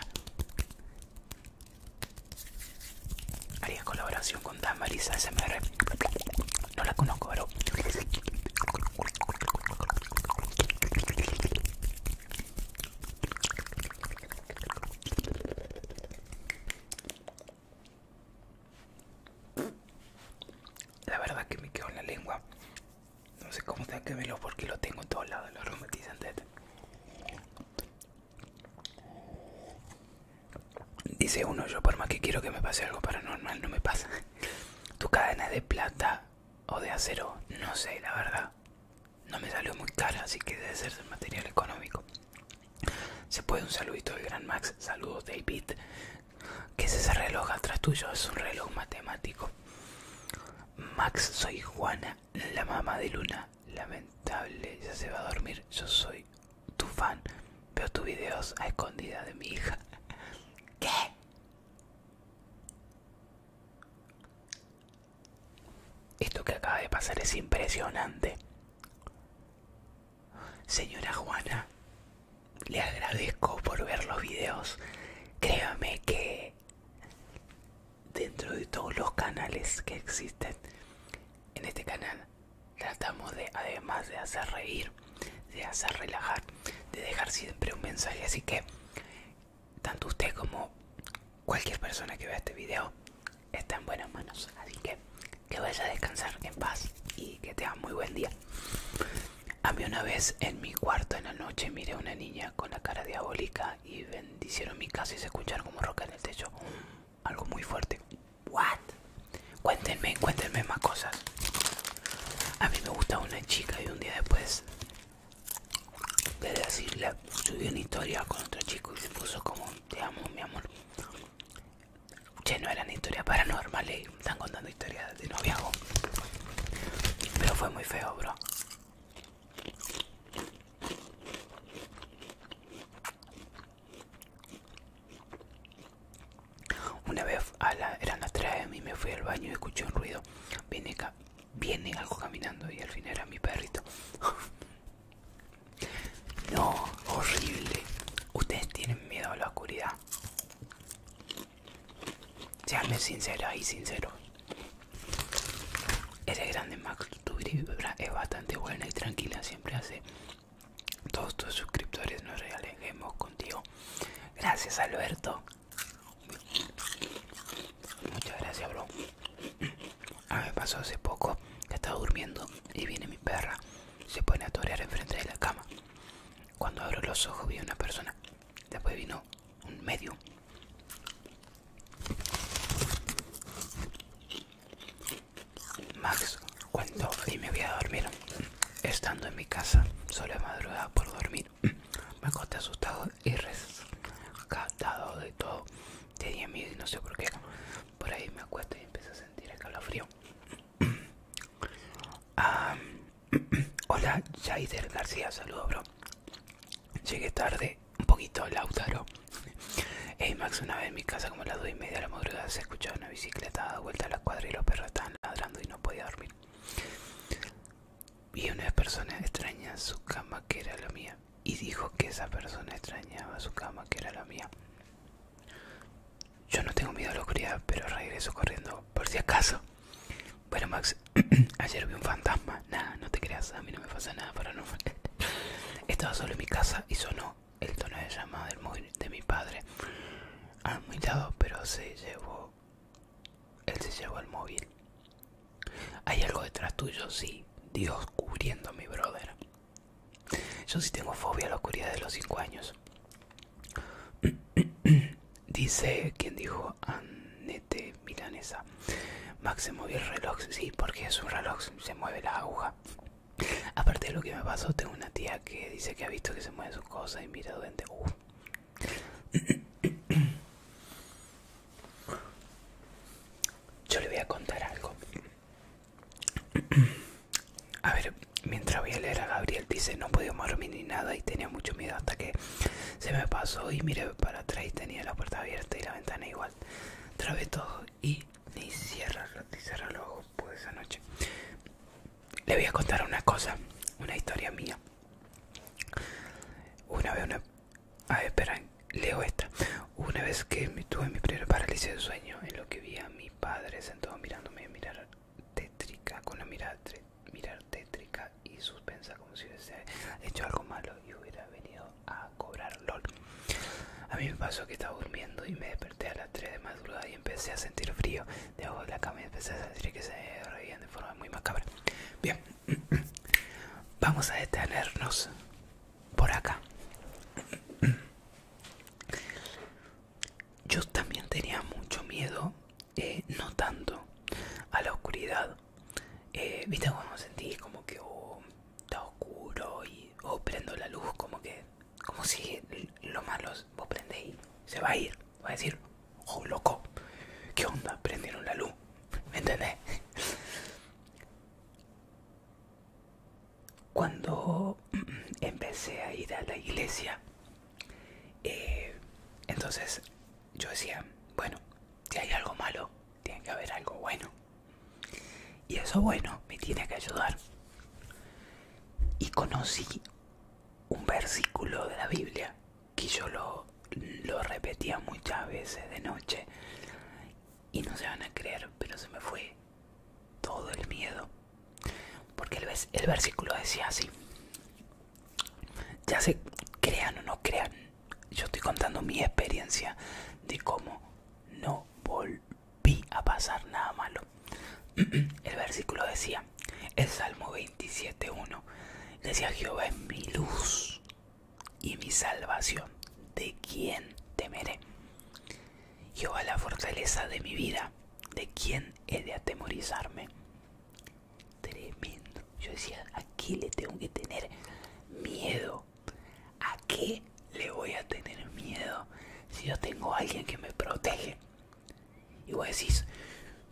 Haría colaboración con Tamarisa ASMR. No la conozco, pero... La verdad que me quedó en la lengua. No sé cómo te que verlo porque lo tengo en todos lados, Los este. Dice uno, yo por más que quiero que me pase algo paranormal, no me pasa. Tu cadena de plata o de acero, no sé, la verdad. No me salió muy cara, así que debe ser de material económico. Se puede un saludito del Gran Max. Saludos, David. ¿Qué es ese reloj atrás tuyo? Es un reloj matemático. Max, soy Juana, la mamá de Luna. Lamentable, ya se va a dormir. Yo soy tu fan. Veo tus videos a escondida de mi hija. ¿Qué? Esto que acaba de pasar es impresionante. Señora Juana, le agradezco por ver los videos. Créame que dentro de todos los canales que existen en este canal tratamos de, además de hacer reír, de hacer relajar, de dejar siempre un mensaje. Así que tanto usted como cualquier persona que vea este video está en buenas manos. Así que que vaya a descansar en paz y que tenga muy buen día. A mí una vez en mi cuarto en la noche miré a una niña con la cara diabólica y bendicieron mi casa y se escucharon como roca en el techo. algo muy fuerte. What? Cuéntenme, cuéntenme más cosas. A mí me gustaba una chica y un día después de decirle, subió una historia con otro chico y se puso como, te amo, mi amor. Che, no eran historias paranormales, están contando historias de noviazgo. Pero fue muy feo, bro. Una vez a eran las 3 de mí, me fui al baño y escuché un ruido. Vine acá viene algo caminando y al fin era mi perrito. no, horrible. Ustedes tienen miedo a la oscuridad. Seanme sinceras y sinceros. Ese grande Max Tubra es bastante buena y tranquila. Siempre hace todos tus suscriptores nos realejemos contigo. Gracias Alberto. Muchas gracias, bro. A mí me pasó hace poco que estaba durmiendo y viene mi perra. Se pone a torear enfrente de la cama. Cuando abro los ojos vi una persona. Después vino un medio. Max, cuento y me voy a dormir. Estando en mi casa, solo a madrugada por dormir me acosté asustado y rescatado de todo. Tenía miedo y no sé por qué. Por ahí me acuesto y empiezo a sentir el calor frío. Ah, hola, Jaider García, saludos, bro. Llegué tarde, un poquito, Lautaro. Hey Max, una vez en mi casa como a las 2 y media de la madrugada se escuchaba una bicicleta dada vuelta a la cuadra y los perros estaban ladrando y no podía dormir. Vi una persona extraña su cama que era la mía. Y dijo que esa persona extrañaba su cama que era la mía. Yo no tengo miedo a la oscuridad, pero regreso corriendo por si acaso. Bueno, Max, ayer vi un fantasma. Nada, no te creas, a mí no me pasa nada para no. Estaba solo en mi casa y sonó el tono de llamada del móvil de mi padre. A muy lado, pero se llevó él se llevó el móvil. Hay algo detrás tuyo, sí. Dios cubriendo mi brother. Yo sí tengo fobia a la oscuridad de los 5 años. Dice quien dijo Anete Milanesa. Max se movió el reloj. Sí, porque es un reloj. Se mueve la aguja. Aparte de lo que me pasó, tengo una tía que dice que ha visto que se mueve su cosa y mira dónde. Uff. Yo le voy a contar algo. A ver, mientras voy a leer a Gabriel, dice: No podía dormir ni nada y tenía mucho miedo hasta que se me pasó y miré para atrás y tenía la puerta abierta y la ventana igual. Trabé todo y ni cierra, ni cierra los ojos por pues, esa noche. Le voy a contar una cosa, una historia mía. Una vez una a ver, leo esta. Una vez que tuve mi primera parálisis de sueño, en lo que vi a mi padre sentado mirándome, mirar tétrica, con la mirada mirar tétrica y suspensa, como si hubiese hecho algo malo y hubiera venido a cobrar LOL. A mí me pasó que estaba durmiendo y me desperté a las 3 de madrugada y empecé a sentir frío. Debajo de la cama y empecé a sentir que se reían de forma muy macabra. Bien, Vamos a detenernos por acá. Yo también tenía mucho miedo, eh, no tanto, a la oscuridad. Eh, viste cuando sentí como que oh, está oscuro y o oh, prendo la luz, como que, como si lo malo vos y se va a ir, va a decir, oh loco, ¿qué onda? Prendieron la luz, ¿me entendés? Cuando empecé a ir a la iglesia, eh, entonces yo decía, bueno, si hay algo malo, tiene que haber algo bueno. Y eso bueno me tiene que ayudar. Y conocí un versículo de la Biblia que yo lo, repetía muchas veces de noche y no se van a creer, pero se me fue todo el miedo. Porque el, el versículo decía así. Ya se crean o no crean. Yo estoy contando mi experiencia de cómo no volví a pasar nada malo. El versículo decía, el Salmo 27.1, decía Jehová es mi luz y mi salvación. ¿De quién temeré? Yo a la fortaleza de mi vida. ¿De quién he de atemorizarme? Tremendo. Yo decía, ¿a qué le tengo que tener miedo? ¿A qué le voy a tener miedo si yo tengo a alguien que me protege? Y vos decís,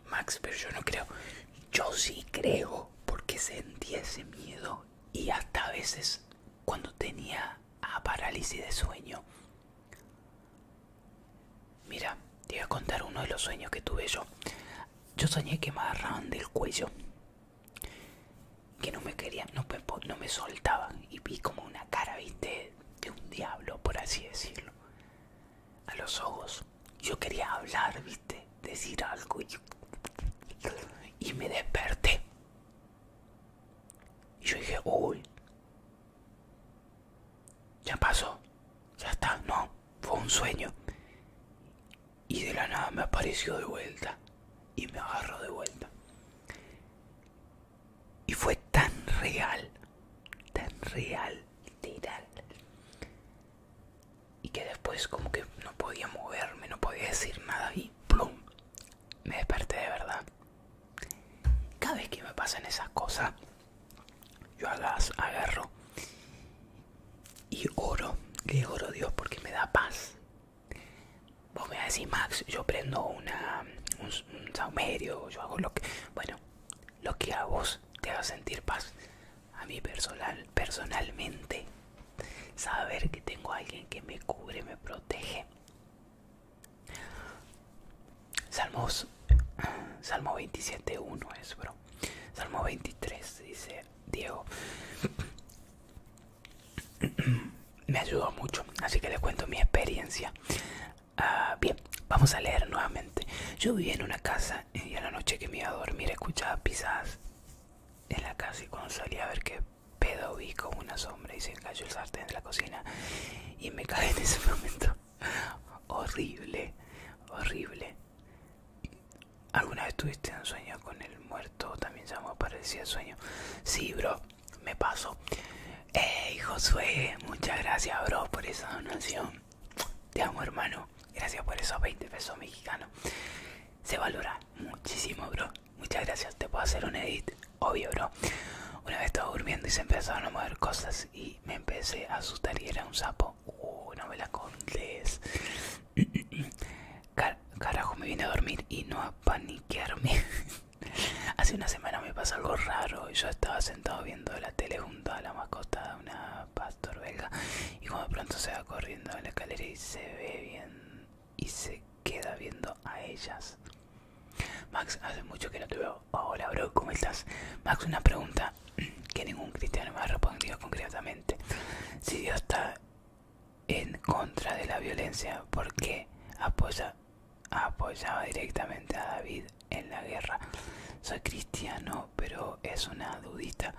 Max, pero yo no creo. Yo sí creo porque sentía ese miedo y hasta a veces cuando tenía parálisis de sueño. Mira, te voy a contar uno de los sueños que tuve yo. Yo soñé que me agarraban del cuello, que no me querían, no, no me soltaban y vi como una cara, viste, de un diablo, por así decirlo, a los ojos yo quería hablar, viste, decir algo y, me desperté. Y yo dije, uy, ya pasó, ya está, no, fue un sueño. Y de la nada me apareció de vuelta y me agarró de vuelta. Y fue tan real, tan real, literal, y que después como que no podía moverme, no podía decir nada y ¡plum! Me desperté de verdad. Cada vez que me pasan esas cosas, yo las agarro y oro, le oro Dios porque me da paz. Vos me vas a decir, Max, yo prendo una, un, saumerio, yo hago lo que... Bueno, lo que a vos te haga sentir paz a mí personal, personalmente saber que tengo alguien que me cubre, me protege. Salmos, Salmo 27.1 es, bro. Salmo 23 dice Diego. me ayudó mucho, así que les cuento mi experiencia. Ah, bien, vamos a leer nuevamente. Yo vivía en una casa y a la noche que me iba a dormir escuchaba pisadas en la casa y cuando salí a ver qué pedo vi como una sombra y se cayó el sartén de la cocina y me caí en ese momento. horrible, horrible. ¿Alguna vez tuviste un sueño con el muerto? También llamó el sueño. Sí, bro, me pasó. Hey, Josué, muchas gracias, bro, por esa donación. Te amo, hermano. Gracias por esos 20 pesos mexicanos. Se valora muchísimo, bro. Muchas gracias. Te puedo hacer un edit, obvio, bro. Una vez estaba durmiendo y se empezaron a mover cosas y me empecé a asustar y era un sapo. Uh, no me la carajo, me vine a dormir y no a paniquearme. Hace una semana me pasó algo raro. Yo estaba sentado viendo la tele junto a la mascota de una pastor belga y como de pronto se corriendo en la escalera y se ve bien y se queda viendo a ellas. Max, hace mucho que no te veo. Hola, bro, ¿cómo estás? Max, una pregunta que ningún cristiano me ha respondido concretamente. Si Dios está en contra de la violencia, ¿por qué apoya, apoyaba directamente a David en la guerra? Soy cristiano pero es una dudita.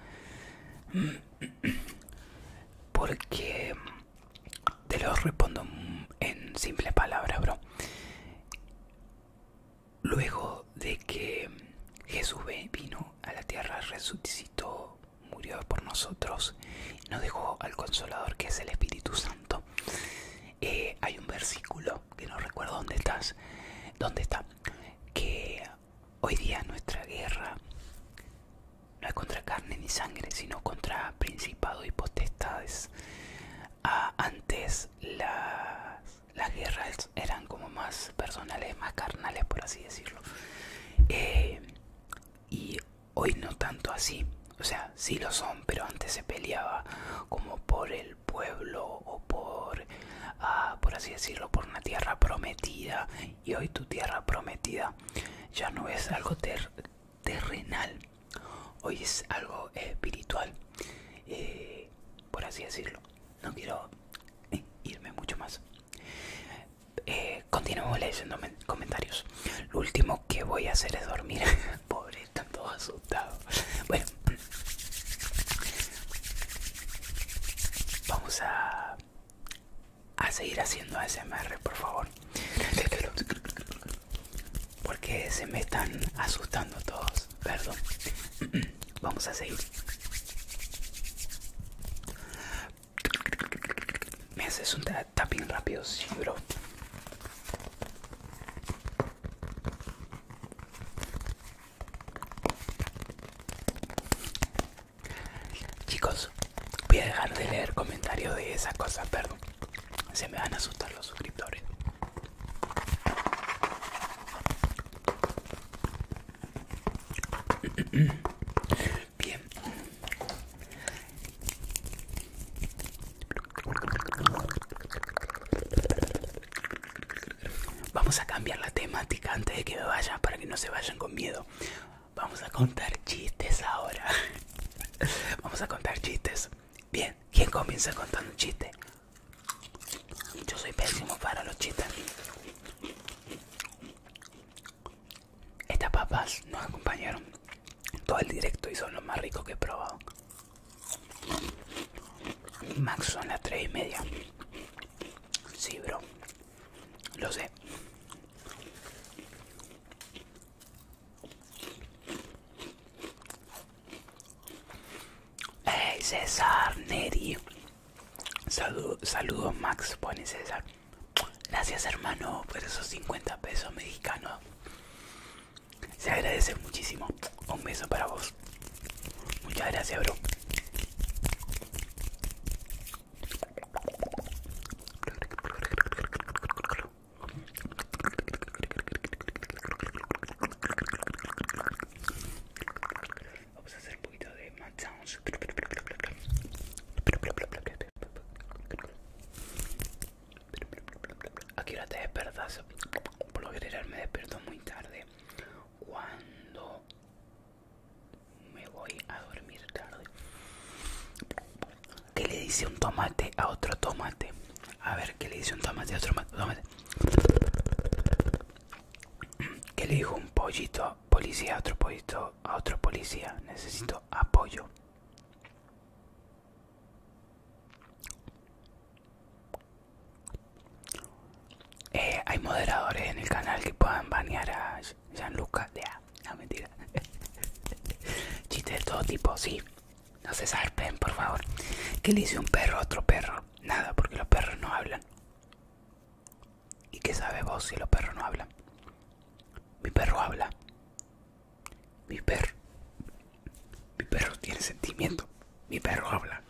Porque mm, te lo respondo en simples palabras, bro. Luego de que Jesús vino a la tierra, resucitó, murió por nosotros, nos dejó al Consolador que es el Espíritu Santo. Eh, hay un versículo que no recuerdo dónde estás, dónde está, que Hoy día nuestra guerra no es contra carne ni sangre, sino contra principados y potestades. Ah, antes las, guerras eran como más personales, más carnales, por así decirlo. Eh, y hoy no tanto así. O sea, sí lo son, pero antes se peleaba como por el pueblo o por, ah, por así decirlo, por una tierra prometida y hoy tu tierra prometida ya no es algo terrenal, hoy es algo espiritual, eh, por así decirlo. No quiero eh, irme mucho más. Eh, Continuamos leyendo comentarios. Lo último que voy a hacer es dormir. Pobre, estando asustado. Bueno, vamos a a seguir haciendo ASMR, por favor. Porque se me están asustando todos. Perdón. Vamos a seguir. Me haces un tapping rápido, sí, bro. Chicos, voy a dejar de leer comentarios de esas cosas, perdón. Se me van a asustar los suscriptores. Bien. Vamos a cambiar la temática antes de que me vayan para que no se vayan con miedo. Vamos a contar chistes ahora. Vamos a contar chistes. Bien, ¿quién comienza contando un chiste? Yo soy pésimo para los chistes. Estas papas nos acompañaron todo el directo y son los más ricos que he probado. Max son las 3 y media. Sí, bro. Lo sé. Hey César Neri. Saludos, Max, pone César. Gracias hermano por esos 50 pesos mexicanos. Se agradece muchísimo. Un beso para vos. Muchas gracias, bro. Vamos a hacer un poquito de sounds Aquí ahora te despertas? Por lo general me despierto muy tarde Cuando me voy a dormir tarde. ¿Qué le dice un tomate a otro tomate? A ver, ¿qué le dice un tomate a otro tomate? ¿Qué le dijo un pollito policía a otro pollito a otro policía? Necesito apoyo. Eh, hay moderadores en el canal que puedan banear a Lucas, Gianluca, de A. No, mentira. Chistes de todo tipo, sí. No se salpen, por favor. ¿Qué le dice un perro a otro perro? Nada, porque los perros no hablan. ¿Y qué sabes vos si los perros no hablan? Mi perro habla. Mi perro. Mi perro tiene sentimiento. Mi perro habla.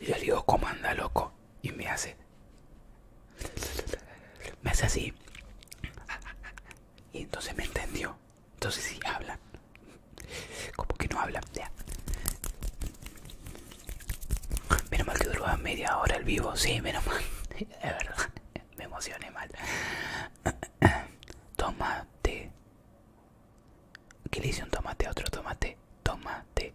yo le digo, ¿cómo anda, loco? y me hace me hace así y entonces me entendió entonces sí hablan como que no hablan menos mal que duró media hora el vivo sí menos mal es verdad me emocioné mal tomate que le hice un tomate a otro tomate tomate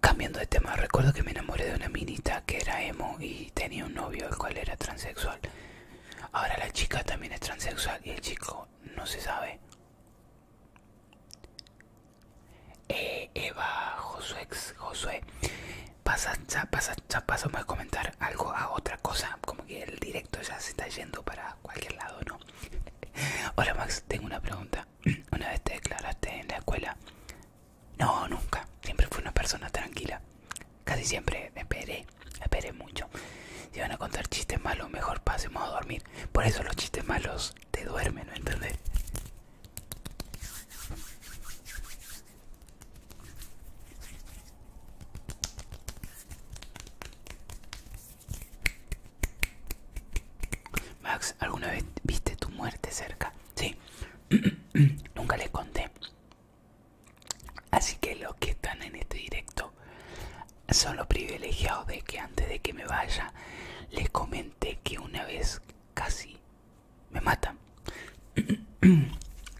Cambiando de tema, recuerdo que me enamoré de una minita que era emo y tenía un novio el cual era transexual. Ahora la chica también es transexual y el chico no se sabe. Eh, Eva, Josué, Josué, pasa, ya, pasa, ya pasamos a comentar algo a otra cosa, como que el directo ya se está yendo para cualquier lado, ¿no? Hola Max, tengo una pregunta. ¿Una vez te declaraste en la escuela? No, nunca. Siempre fui una persona tranquila. Casi siempre esperé, esperé mucho. Si van a contar chistes malos, mejor pasemos a dormir. Por eso los chistes malos te duermen, ¿no entendés? Max, ¿alguna vez viste tu muerte cerca? Sí, nunca les conté. Así que los que están en este directo son los privilegiados de que antes de que me vaya les comenté que una vez casi me matan.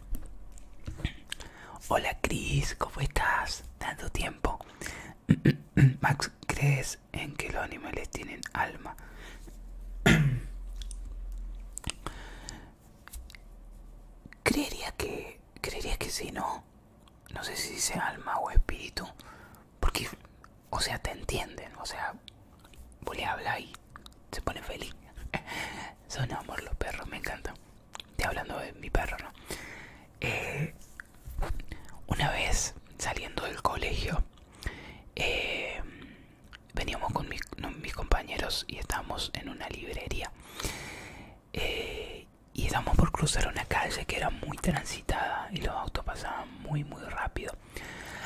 Hola Cris, ¿cómo estás? ¿Dando tiempo. Max, ¿crees en que los animales tienen alma? creería que creería que sí, ¿no? No sé si sea alma o espíritu. Porque, o sea, te entienden. O sea, vos le hablas y se pone feliz. Son amor los perros, me encanta, Estoy hablando de mi perro, ¿no? Eh, una vez saliendo del colegio, eh, veníamos con mis, compañeros y estábamos en una librería. Eh, y estábamos por cruzar una calle que era muy transitada y los autos pasaban muy, muy rápido.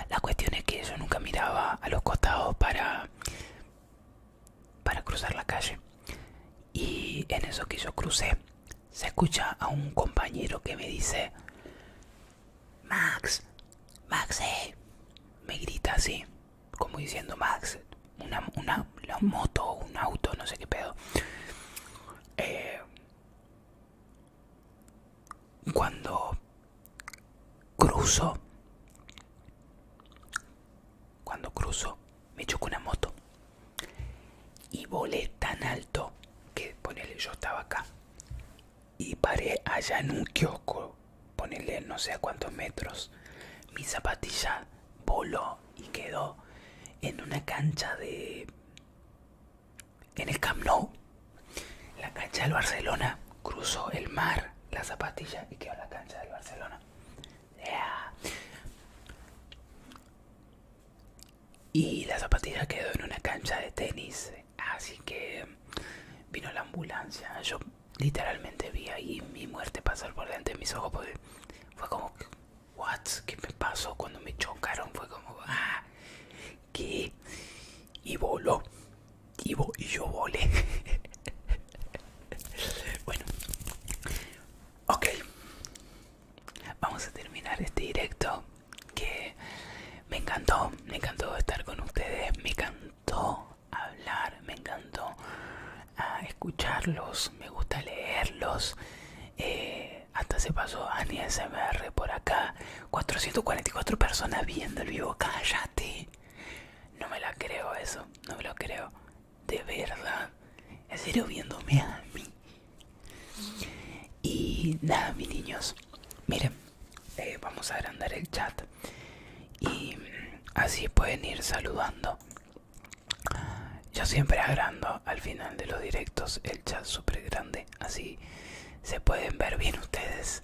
La cuestión es que yo nunca miraba a los costados para, para cruzar la calle y en eso que yo crucé se escucha a un compañero que me dice Max, Max, eh", me grita así, como diciendo Max, una, una, o moto, un auto, no sé qué pedo. Eh, cuando cruzo, cuando cruzo, me choco una moto y volé tan alto que ponele yo estaba acá y paré allá en un kiosco ponele no sé a cuántos metros mi zapatilla voló y quedó en una cancha de en el Camp Nou la cancha del Barcelona cruzó el mar la zapatilla y quedó en la cancha del Barcelona y la zapatilla quedó en una cancha de tenis así que vino la ambulancia yo literalmente vi ahí mi muerte pasar por delante de mis ojos fue como what qué me pasó cuando me chocaron fue como ah qué y voló y, y yo volé bueno ok vamos a terminar este directo que me encantó, me encantó estar con ustedes, me encantó hablar, me encantó ah, escucharlos, me gusta leerlos. Eh, hasta se pasó Ani SMR por acá. 444 personas viendo el vivo, cállate. No me la creo eso, no me lo creo. De verdad. En serio viéndome a mí. Y nada, mis niños, miren, eh, vamos a agrandar el chat y mm, así pueden ir saludando. Yo siempre agrando al final de los directos el chat súper grande, así se pueden ver bien ustedes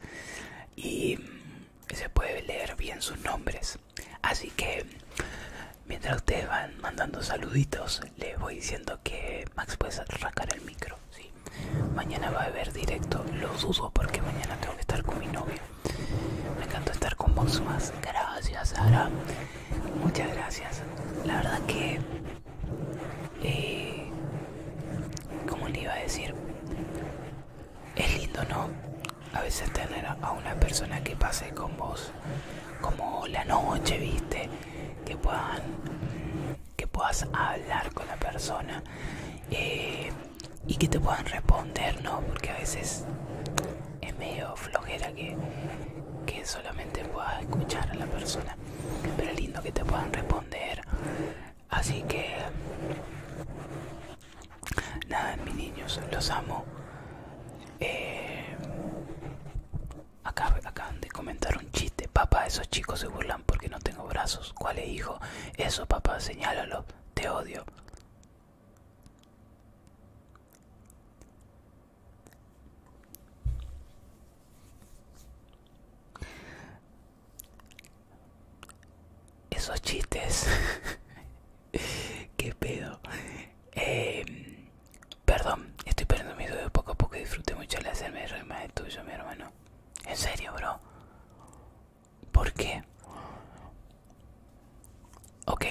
y mm, se puede leer bien sus nombres. Así que Mientras ustedes van mandando saluditos, les voy diciendo que Max puede arrancar el micro. Mañana va a haber directo, lo usos porque mañana tengo que estar con mi novio. Me encanta estar con vos más. Gracias, Sara. Muchas gracias. La verdad que... Eh, como le iba a decir? Es lindo, ¿no? A veces tener a una persona que pase con vos como la noche, viste, que puedan que puedas hablar con la persona eh, y que te puedan responder, ¿no? Porque a veces es medio flojera que, que solamente puedas escuchar a la persona. Pero lindo que te puedan responder. Así que nada, mis niños, los amo. Eh, Acá, acaban de comentar un chiste. Papá, esos chicos se burlan porque no tengo brazos. ¿Cuál es, hijo? Eso, papá, señálalo. Te odio. Esos chistes. ¿Qué pedo? Eh, Perdón, estoy perdiendo mi dedo poco a poco y disfruté mucho la hacerme reír más de tuyo, mi hermano. En serio, bro. ¿Por qué? Ok,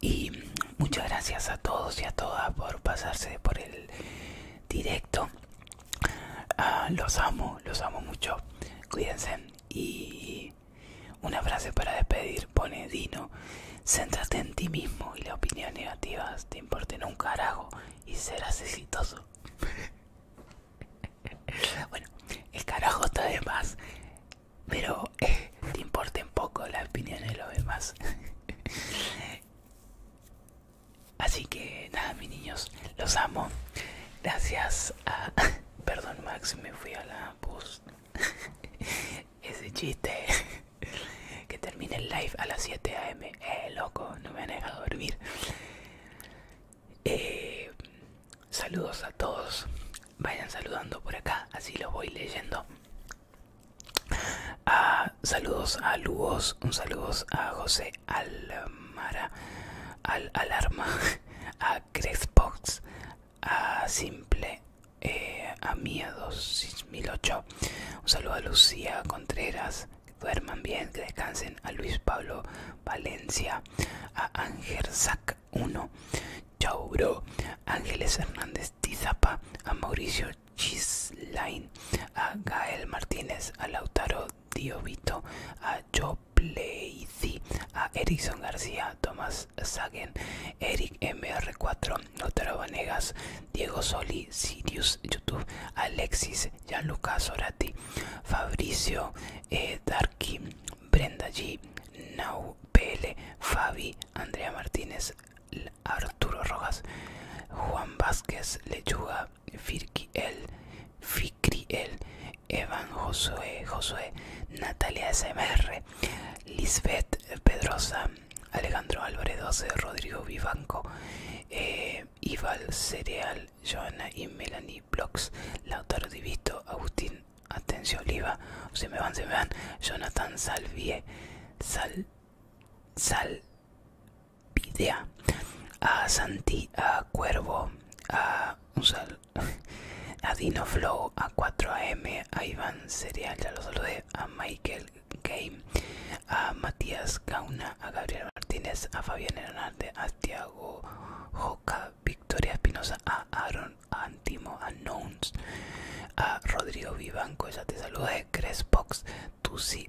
y muchas gracias a todos y a todas por pasarse por el directo. Ah, los amo, los amo mucho. Cuídense. Y una frase para despedir pone Dino. Céntrate en ti mismo y las opiniones negativas te importen un carajo y serás exitoso. bueno, el carajo está de más, pero eh, Te te importen poco las opiniones de los demás. Así que nada, mis niños, los amo. Gracias a... Perdón, Max, me fui a la bus ese chiste que termine el live a las 7 a.m. Eh, loco, no me han dejado dormir. Eh, saludos a todos. Vayan saludando por acá, así los voy leyendo. Ah, saludos a Lugos, un saludos a José Almara, al Alarma, a Crespox a Simple, eh, a Miedos 6008 un saludo a Lucía Contreras, duerman bien, que descansen. A Luis Pablo Valencia, a Ángel Zac 1, chau Ángeles Hernández Tizapa, a Mauricio Chislain, a Gael Martínez, a Lautaro Diovito, a Joe a Erickson García, Tomás Sagen, Eric MR4, otra Vanegas, Diego Soli, Sirius, YouTube, Alexis, Gianluca Sorati, Fabricio, eh, Darky, Brenda G, Nau PL, Fabi, Andrea Martínez, Arturo Rojas, Juan Vázquez, Lechuga, Firkiel, el Evan Josué, Josué, Natalia SMR, Lisbeth Pedrosa, Alejandro Álvarez 12, Rodrigo Vivanco, eh, Ival Cereal, Joana y Melanie Blocks, Lautaro Divisto, Agustín Atencio Oliva, se me van, se me van, Jonathan Salvie, Sal, Salvidea, a Santi, a Cuervo, a, a Dino Flow, a 4AM, a Iván Cereal, ya lo saludé, a Michael Game, a Matías Gauna, a Gabriel Martínez, a Fabián Hernández, a Tiago Joca, Victoria Espinosa, a Aaron Antimo, a Nouns, a Rodrigo Vivanco, ya te saluda, a Crespox, Tusi,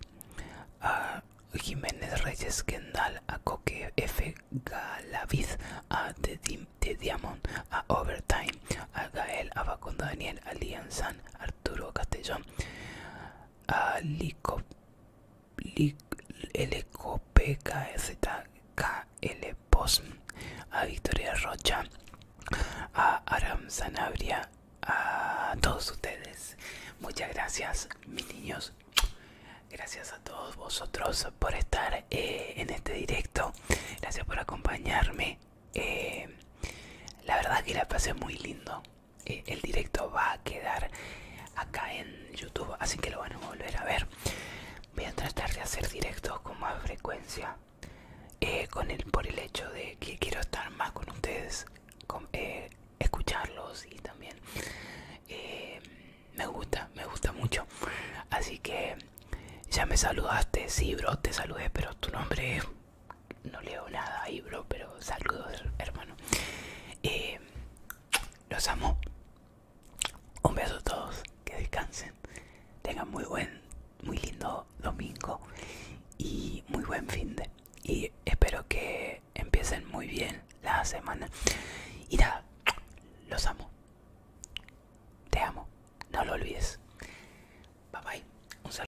a Jiménez Reyes Kendall, a Coque F. Galaviz, a The Diamond, a Overtime, a Gael, a Daniel, a Castellón, a Lico, Lic, a Victoria Rocha, a Aram Sanabria, a todos ustedes. Muchas gracias, mis niños. Gracias a todos vosotros por estar eh, en este directo. Gracias por acompañarme. Eh, la verdad que la pasé muy lindo. Eh, el directo va a quedar acá en YouTube, así que lo van a volver a ver. Voy a tratar de hacer directos con más frecuencia. Eh, con el, por el hecho de que quiero estar más con ustedes, escucharlos y también me gusta, me gusta mucho. Así que ya me saludaste, sí, bro, te saludé, pero tu nombre es no leo nada ahí, bro, pero saludos, hermano. Eh, los amo. Un beso a todos, que descansen. Tengan muy buen, muy lindo domingo y muy buen fin de. Y espero que empiecen muy bien la semana. Y nada, los amo. Te amo, no lo olvides. Bye bye. Un saludo.